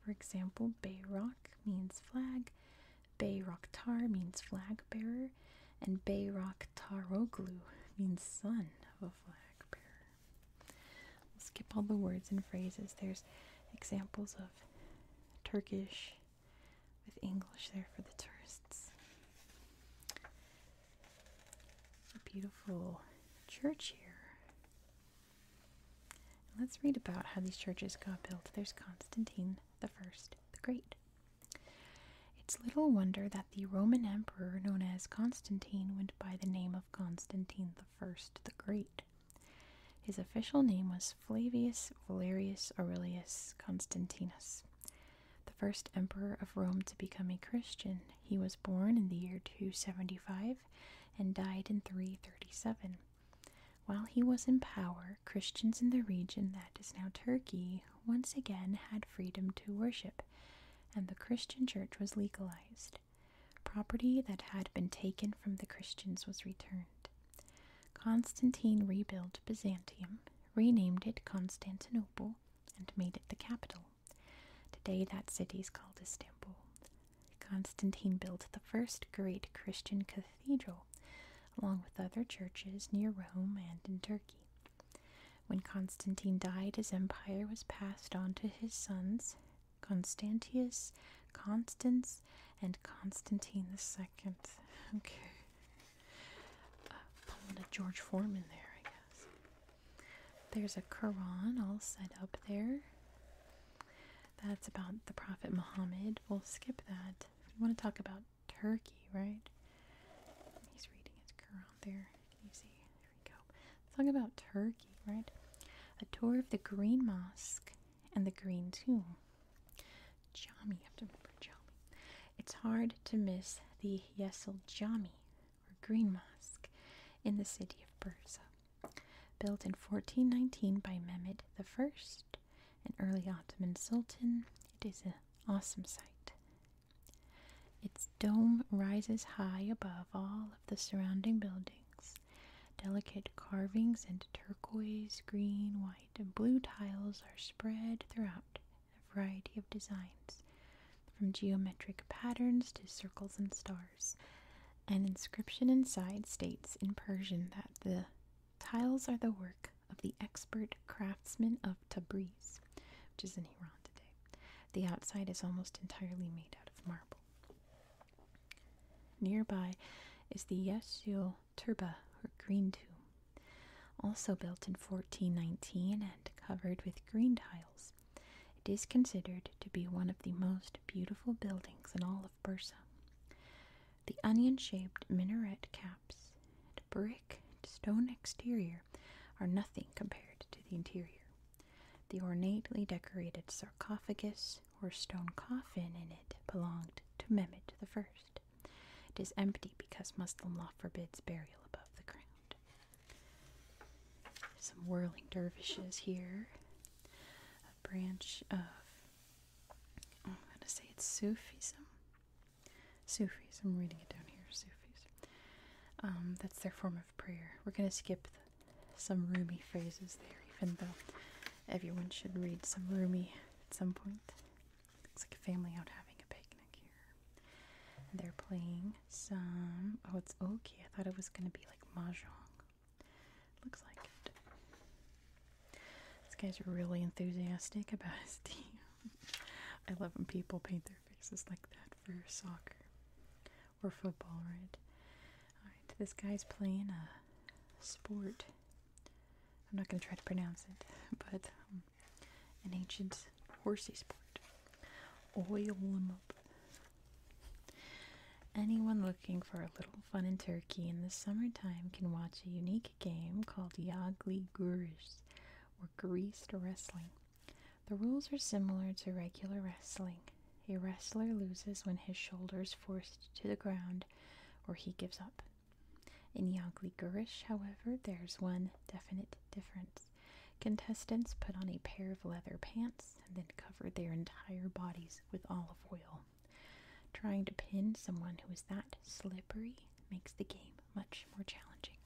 For example, bayrock means flag, bayraktar means flag bearer, and bayraktaroglu means son of a flag bearer. We'll skip all the words and phrases. There's examples of Turkish with English there for the tourists. A beautiful church here. Let's read about how these churches got built. There's Constantine the First the Great. It's little wonder that the Roman emperor known as Constantine went by the name of Constantine the First the Great. His official name was Flavius Valerius Aurelius Constantinus the first emperor of Rome to become a Christian. He was born in the year 275 and died in 337. While he was in power, Christians in the region that is now Turkey once again had freedom to worship, and the Christian church was legalized. Property that had been taken from the Christians was returned. Constantine rebuilt Byzantium, renamed it Constantinople, and made it the capital. Today, that city is called Istanbul. Constantine built the first great Christian cathedral, along with other churches near Rome and in Turkey. When Constantine died, his empire was passed on to his sons, Constantius, Constans, and Constantine II. Okay uh, pulling a George Foreman there, I guess. There's a Quran all set up there. That's about the Prophet Muhammad. We'll skip that. We want to talk about Turkey, right? He's reading his Quran there. Can There we go. talk about Turkey, right? A tour of the Green Mosque and the Green Tomb. Jami, I have to remember Jami. It's hard to miss the Yesil Jami or Green Mosque in the city of Bursa. Built in 1419 by Mehmed I, an early Ottoman sultan, it is an awesome sight. Its dome rises high above all of the surrounding buildings. Delicate carvings and turquoise, green, white, and blue tiles are spread throughout a variety of designs, from geometric patterns to circles and stars. An inscription inside states in Persian that the tiles are the work of the expert craftsmen of Tabriz, which is in Iran today. The outside is almost entirely made out of marble. Nearby is the Yesio Turba, or Green Tomb, also built in 1419 and covered with green tiles. It is considered to be one of the most beautiful buildings in all of Bursa. The onion shaped minaret caps and brick and stone exterior are nothing compared to the interior. The ornately decorated sarcophagus or stone coffin in it belonged to Mehmet I. It is empty because Muslim law forbids burial above the ground. Some whirling dervishes here. A branch of, I'm going to say it's Sufism. Sufis, I'm reading it down here, Sufis. Um, that's their form of prayer. We're going to skip some Rumi phrases there, even though everyone should read some Rumi at some point. Looks like a family out having a picnic here. they're playing some. Oh, it's Oki. I thought it was gonna be like mahjong. Looks like it. This guy's really enthusiastic about his team. I love when people paint their faces like that for soccer or football, right? Alright, this guy's playing a sport. I'm not gonna try to pronounce it, but um, an ancient horsey sport. Oil them up. Anyone looking for a little fun in Turkey in the summertime can watch a unique game called Yagli Gurish or greased wrestling. The rules are similar to regular wrestling. A wrestler loses when his shoulders force to the ground or he gives up. In Yagli Gurish, however, there's one definite difference contestants put on a pair of leather pants and then cover their entire bodies with olive oil. Trying to pin someone who is that slippery makes the game much more challenging.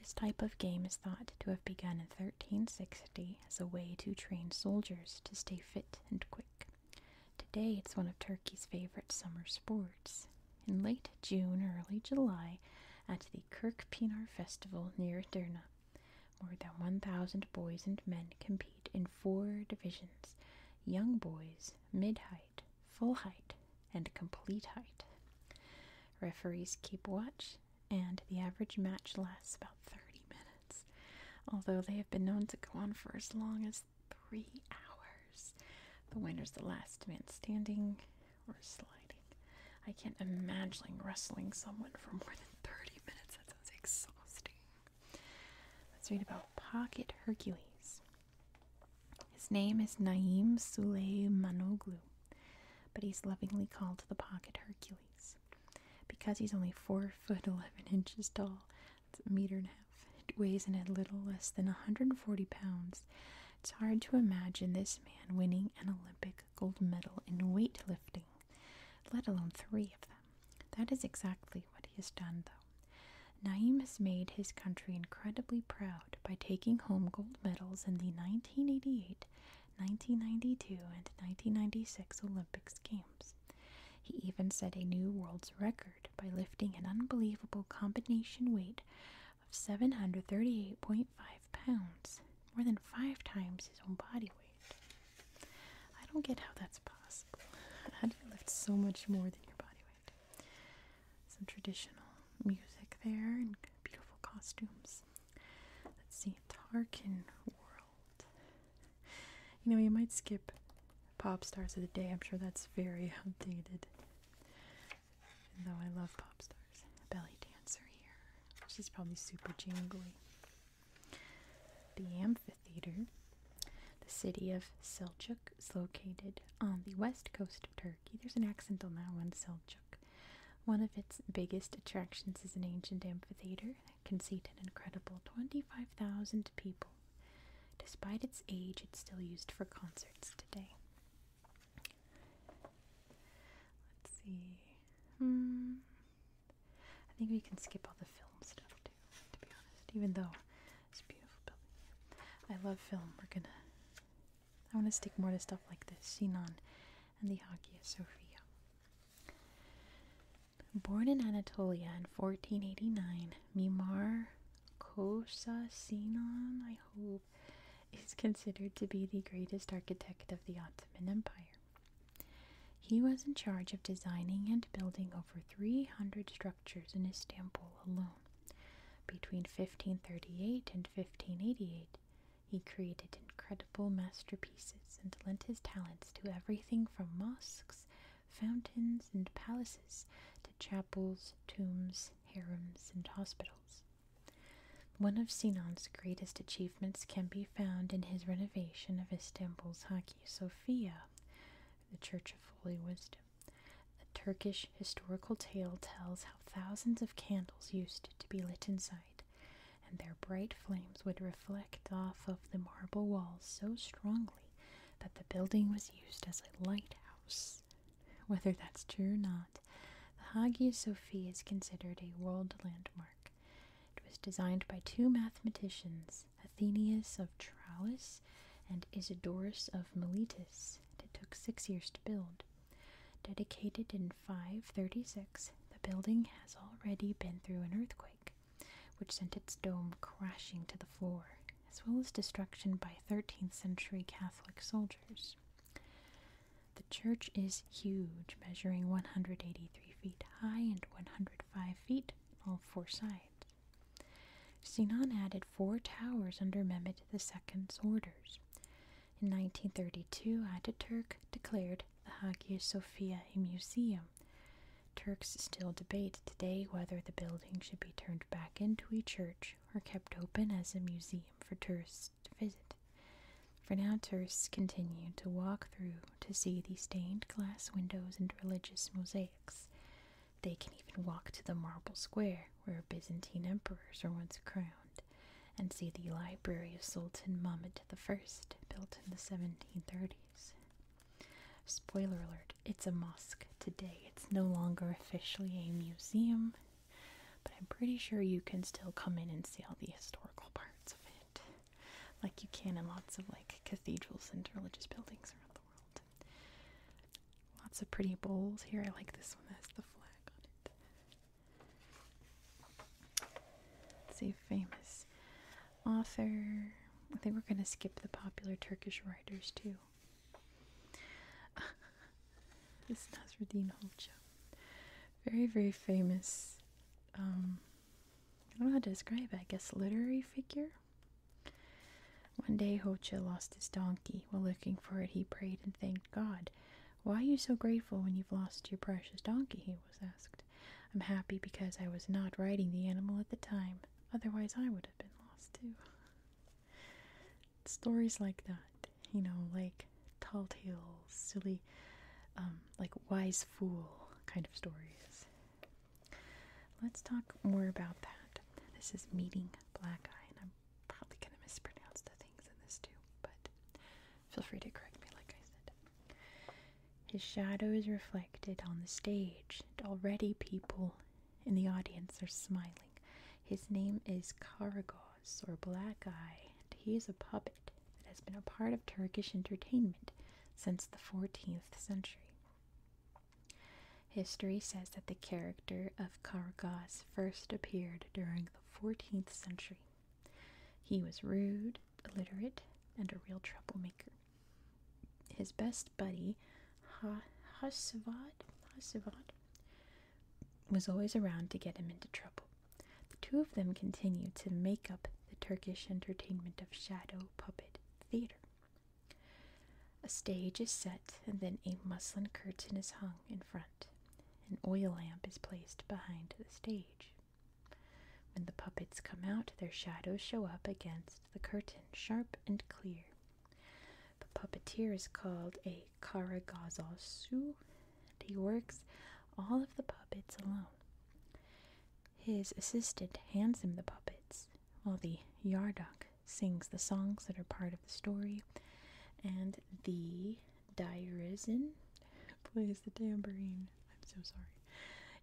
This type of game is thought to have begun in 1360 as a way to train soldiers to stay fit and quick. Today, it's one of Turkey's favorite summer sports in late June or early July at the Kirkpinar Festival near Durna, More than 1,000 boys and men compete in four divisions young boys, mid height, full height, and complete height. Referees keep watch, and the average match lasts about 30 minutes, although they have been known to go on for as long as three hours. The winner is the last man standing, or sliding. I can't imagine wrestling someone for more than 30 minutes. That sounds exhausting. Let's read about Pocket Hercules. His name is Naim Suleymanoglu, but he's lovingly called the Pocket Hercules. Because he's only 4 foot 11 inches tall, that's a meter and a half, it weighs in a little less than 140 pounds, it's hard to imagine this man winning an Olympic gold medal in weightlifting, let alone three of them. That is exactly what he has done, though. Naim has made his country incredibly proud by taking home gold medals in the 1988, 1992, and 1996 Olympics Games. He even set a new world's record by lifting an unbelievable combination weight of 738.5 pounds, more than five times his own body weight. I don't get how that's possible. How do you lift so much more than your body weight? Some traditional music there and beautiful costumes. Let's see, Tarkin World. You know, you might skip pop stars of the day. I'm sure that's very outdated though I love pop stars. Belly dancer here. She's probably super jingly. The amphitheater. The city of Selçuk is located on the west coast of Turkey. There's an accent on that one, Selçuk. One of its biggest attractions is an ancient amphitheater that can seat an incredible 25,000 people. Despite its age, it's still used for concerts today. Let's see. Hmm. I think we can skip all the film stuff too, to be honest. Even though it's a beautiful building. I love film. We're gonna. I want to stick more to stuff like this. Sinan and the Hagia Sophia. Born in Anatolia in 1489, Mimar Kosa Sinan, I hope is considered to be the greatest architect of the Ottoman Empire. He was in charge of designing and building over 300 structures in Istanbul alone. Between 1538 and 1588, he created incredible masterpieces and lent his talents to everything from mosques, fountains, and palaces to chapels, tombs, harems, and hospitals. One of Sinan's greatest achievements can be found in his renovation of Istanbul's Hagia Sophia, the Church of Holy Wisdom. A Turkish historical tale tells how thousands of candles used to be lit inside, and their bright flames would reflect off of the marble walls so strongly that the building was used as a lighthouse whether that's true or not, the Hagia Sophia is considered a world landmark. It was designed by two mathematicians, Athenius of Tralles and Isidorus of Miletus. It took six years to build. Dedicated in 536, the building has already been through an earthquake, which sent its dome crashing to the floor, as well as destruction by 13th century Catholic soldiers. The church is huge, measuring 183 feet high and 105 feet on all four sides. Sinan added four towers under Mehmed II's orders. In 1932, Ataturk declared the Hagia Sophia a museum. Turks still debate today whether the building should be turned back into a church or kept open as a museum for tourists last visit. For now, tourists continue to walk through to see the stained glass windows and religious mosaics. They can even walk to the marble square where Byzantine emperors were once crowned and see the library of Sultan Mahmud I, built in the 1730s. Spoiler alert, it's a mosque today. It's no longer officially a museum, but I'm pretty sure you can still come in and see all the historical parts of it, like you can in lots of like cathedrals and religious buildings around the world. Lots of pretty bowls here. I like this one that has the flag on it. Let's see, famous author. I think we're gonna skip the popular Turkish writers too. This is Nasruddin Hoxha. Very, very famous. Um, I don't know how to describe it, I guess literary figure. One day Hoja lost his donkey. While looking for it, he prayed and thanked God. Why are you so grateful when you've lost your precious donkey? he was asked. I'm happy because I was not riding the animal at the time. Otherwise, I would have been lost too. Stories like that you know, like tall tales, silly, um, like wise fool kind of stories. Let's talk more about that. This is Meeting Black Eye, and I'm probably going to mispronounce the things in this too, but feel free to correct me, like I said. His shadow is reflected on the stage, and already people in the audience are smiling. His name is Karagor Oz or Black Eye, and he is a puppet that has been a part of Turkish entertainment since the 14th century. History says that the character of Kargaz first appeared during the 14th century. He was rude, illiterate, and a real troublemaker. His best buddy, Hasavat, Hasvad, was always around to get him into trouble. The two of them continue to make up the Turkish entertainment of shadow puppet theater. A stage is set, and then a muslin curtain is hung in front. An oil lamp is placed behind the stage. When the puppets come out, their shadows show up against the curtain, sharp and clear. The puppeteer is called a Karagazasu, and he works all of the puppets alone. His assistant hands him the puppets, while the Yarduk sings the songs that are part of the story, and the Dairizin plays the tambourine. I'm so sorry.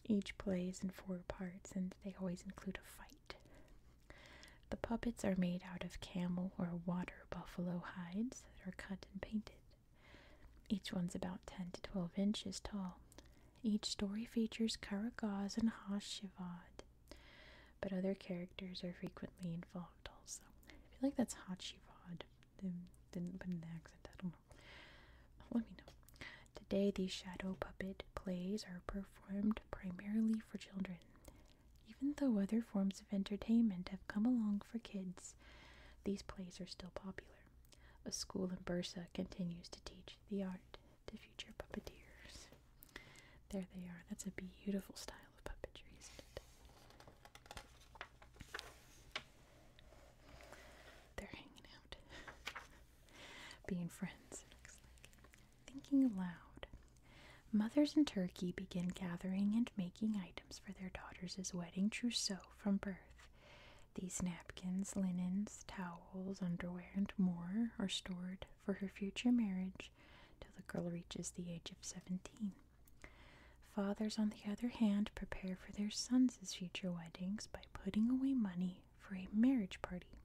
Each plays in four parts, and they always include a fight. The puppets are made out of camel or water buffalo hides that are cut and painted. Each one's about 10 to 12 inches tall. Each story features Karagaz and Hashivad, but other characters are frequently involved also. I feel like that's Hashivad. Didn't put in the accent, I don't know. Let me Today, these shadow puppet plays are performed primarily for children. Even though other forms of entertainment have come along for kids, these plays are still popular. A school in Bursa continues to teach the art to future puppeteers. There they are. That's a beautiful style of puppetry, isn't it? They're hanging out. Being friends, Thinking aloud. Mothers in Turkey begin gathering and making items for their daughters' wedding trousseau from birth. These napkins, linens, towels, underwear, and more are stored for her future marriage till the girl reaches the age of 17. Fathers, on the other hand, prepare for their sons' future weddings by putting away money for a marriage party.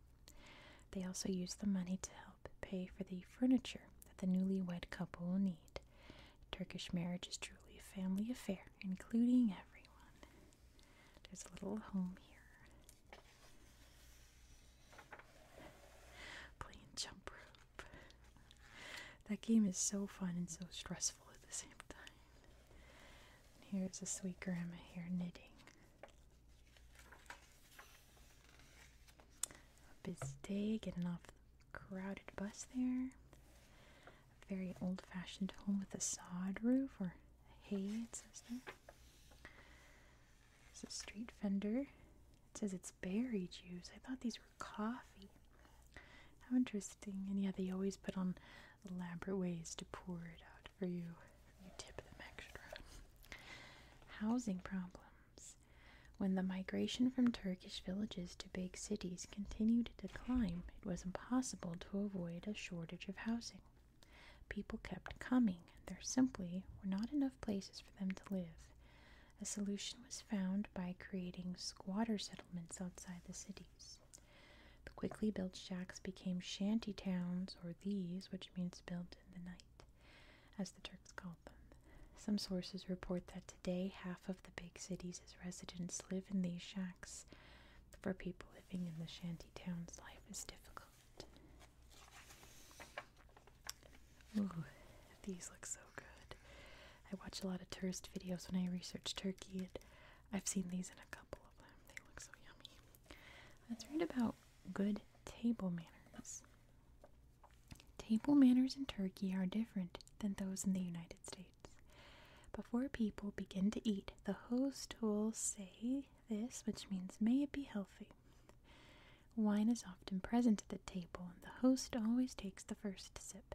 They also use the money to help pay for the furniture that the newlywed couple will need. Turkish marriage is truly a family affair, including everyone. There's a little home here. Playing jump rope. That game is so fun and so stressful at the same time. And here's a sweet grandma here knitting. busy day, getting off the crowded bus there very old-fashioned home with a sod roof or hay it says there there's a street vendor it says it's berry juice i thought these were coffee how interesting and yeah they always put on elaborate ways to pour it out for you you tip them extra housing problems when the migration from turkish villages to big cities continued to climb, it was impossible to avoid a shortage of housing. People kept coming, and there simply were not enough places for them to live. A solution was found by creating squatter settlements outside the cities. The quickly built shacks became shanty towns, or these, which means built in the night, as the Turks called them. Some sources report that Today, half of the big cities residents live in these shacks. For people living in the shanty towns, life is difficult. Ooh, these look so good. I watch a lot of tourist videos when I research Turkey, and I've seen these in a couple of them. They look so yummy. Let's read about good table manners. Table manners in Turkey are different than those in the United States. Before people begin to eat, the host will say this, which means, May it be healthy. Wine is often present at the table, and the host always takes the first sip.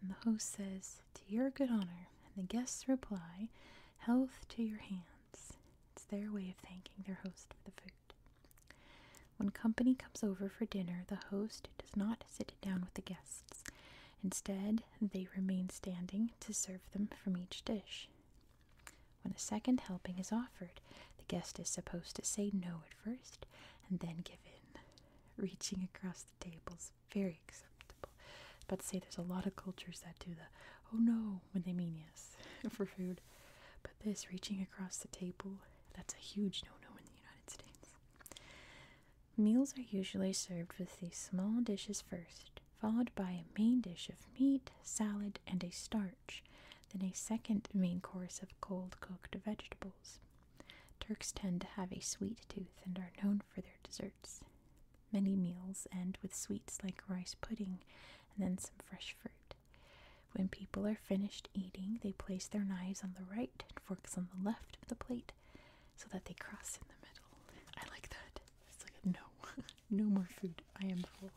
And the host says, To your good honor, and the guests reply, Health to your hands. It's their way of thanking their host for the food. When company comes over for dinner, the host does not sit down with the guests. Instead, they remain standing to serve them from each dish. When a second helping is offered, the guest is supposed to say no at first and then give in. Reaching across the table is very acceptable. About to say there's a lot of cultures that do the oh no when they mean yes for food. But this reaching across the table, that's a huge no no in the United States. Meals are usually served with these small dishes first, followed by a main dish of meat, salad, and a starch, then a second main course of cold cooked vegetables. Turks tend to have a sweet tooth and are known for their desserts. Many meals end with sweets like rice pudding and then some fresh fruit. When people are finished eating, they place their knives on the right and forks on the left of the plate so that they cross in the middle. I like that. no, no more food. I am full.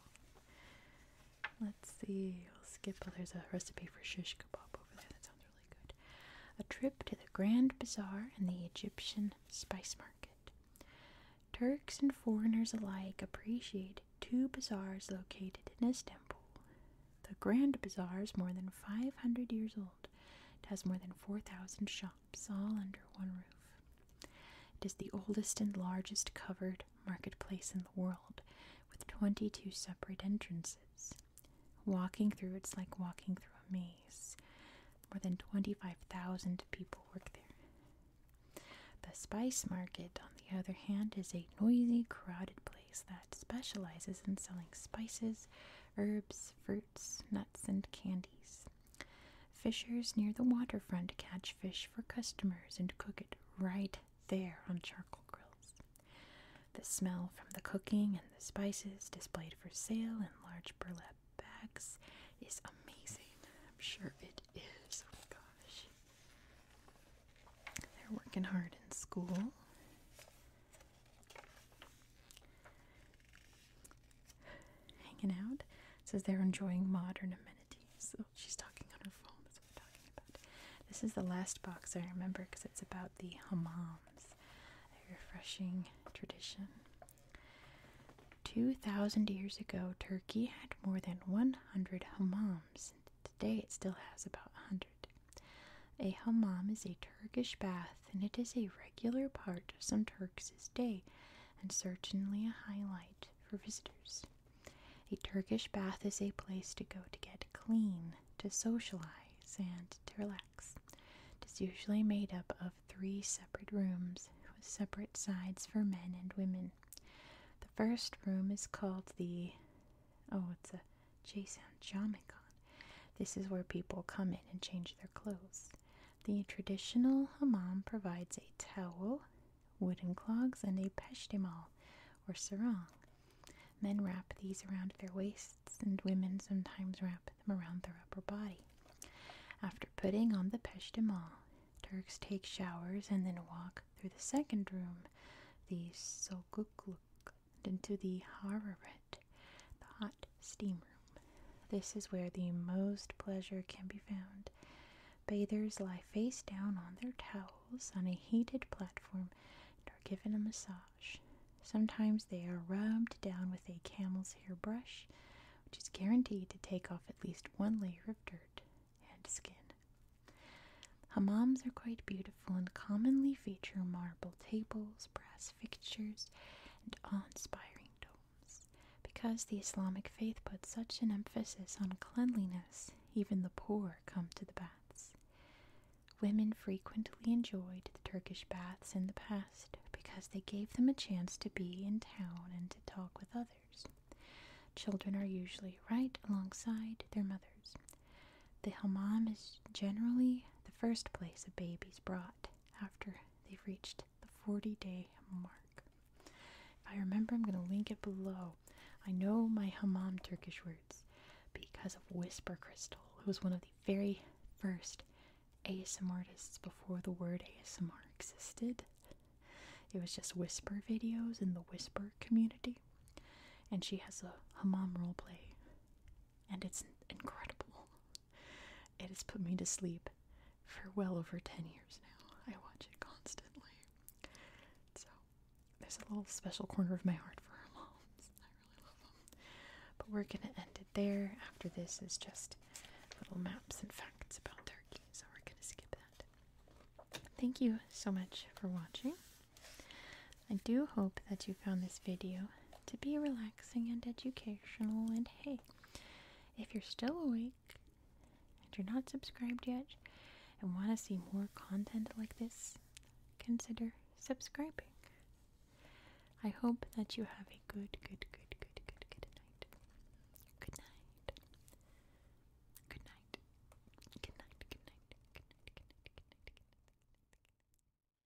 Let's see. i will skip. Oh, there's a recipe for shish kebab over there. That sounds really good. A trip to the Grand Bazaar and the Egyptian Spice Market. Turks and foreigners alike appreciate two bazaars located in Istanbul. The Grand Bazaar is more than 500 years old it has more than 4,000 shops, all under one roof. It is the oldest and largest covered marketplace in the world, with 22 separate entrances. Walking through it's like walking through a maze. More than 25,000 people work there. The spice market, on the other hand, is a noisy, crowded place that specializes in selling spices, herbs, fruits, nuts, and candies. Fishers near the waterfront catch fish for customers and cook it right there on charcoal grills. The smell from the cooking and the spices displayed for sale in large burlap bags is amazing. I'm sure it is. Oh my gosh. They're working hard in school hanging out. says they're enjoying modern amenities. she's talking on her phone. That's what we're talking about. This is the last box I remember because it's about the hammams, a refreshing tradition. 2,000 years ago, Turkey had more than 100 hammams. Today it still has about 100. A hammam is a Turkish bath, and it is a regular part of some Turks' day, and certainly a highlight for visitors. A Turkish bath is a place to go to get clean, to socialize, and to relax. It is usually made up of three separate rooms with separate sides for men and women. The first room is called the oh, it's a Jason This is where people come in and change their clothes. The traditional hammam provides a towel, wooden clogs, and a peshtimal or sarong. Men wrap these around their waists, and women sometimes wrap them around their upper body. After putting on the peshtimal, Turks take showers and then walk through the second room, the sokukluk, and into the Hararet, the hot steam room. This is where the most pleasure can be found. Bathers lie face down on their towels on a heated platform and are given a massage. Sometimes they are rubbed down with a camel's hair brush, which is guaranteed to take off at least one layer of dirt and skin. Hammams are quite beautiful and commonly feature marble tables, brass fixtures, and awe-inspiring domes. Because the Islamic faith puts such an emphasis on cleanliness, even the poor come to the baths. Women frequently enjoyed the Turkish baths in the past because they gave them a chance to be in town and to talk with others. Children are usually right alongside their mothers. The hammam is generally the first place a baby's brought after they've reached the 40 day mark. If I remember, I'm going to link it below. I know my hammam Turkish words because of Whisper Crystal, who was one of the very first ASMR artists before the word ASMR existed. It was just whisper videos in the whisper community. And she has a hammam role play. And it's incredible. It has put me to sleep for well over 10 years now. I watch it constantly. So, there's a little special corner of my heart for her moms. I really love them. But we're going to end it there. After this is just little maps and facts about Turkey, so we're going to skip that. Thank you so much for watching. I do hope that you found this video to be relaxing and educational. And hey, if you're still awake and you're not subscribed yet and want to see more content like this, consider subscribing. I hope that you have a good, good, good, good, good, good night. Good night. Good night. Good night. Good night. Good night. Good night. Good night. Good night.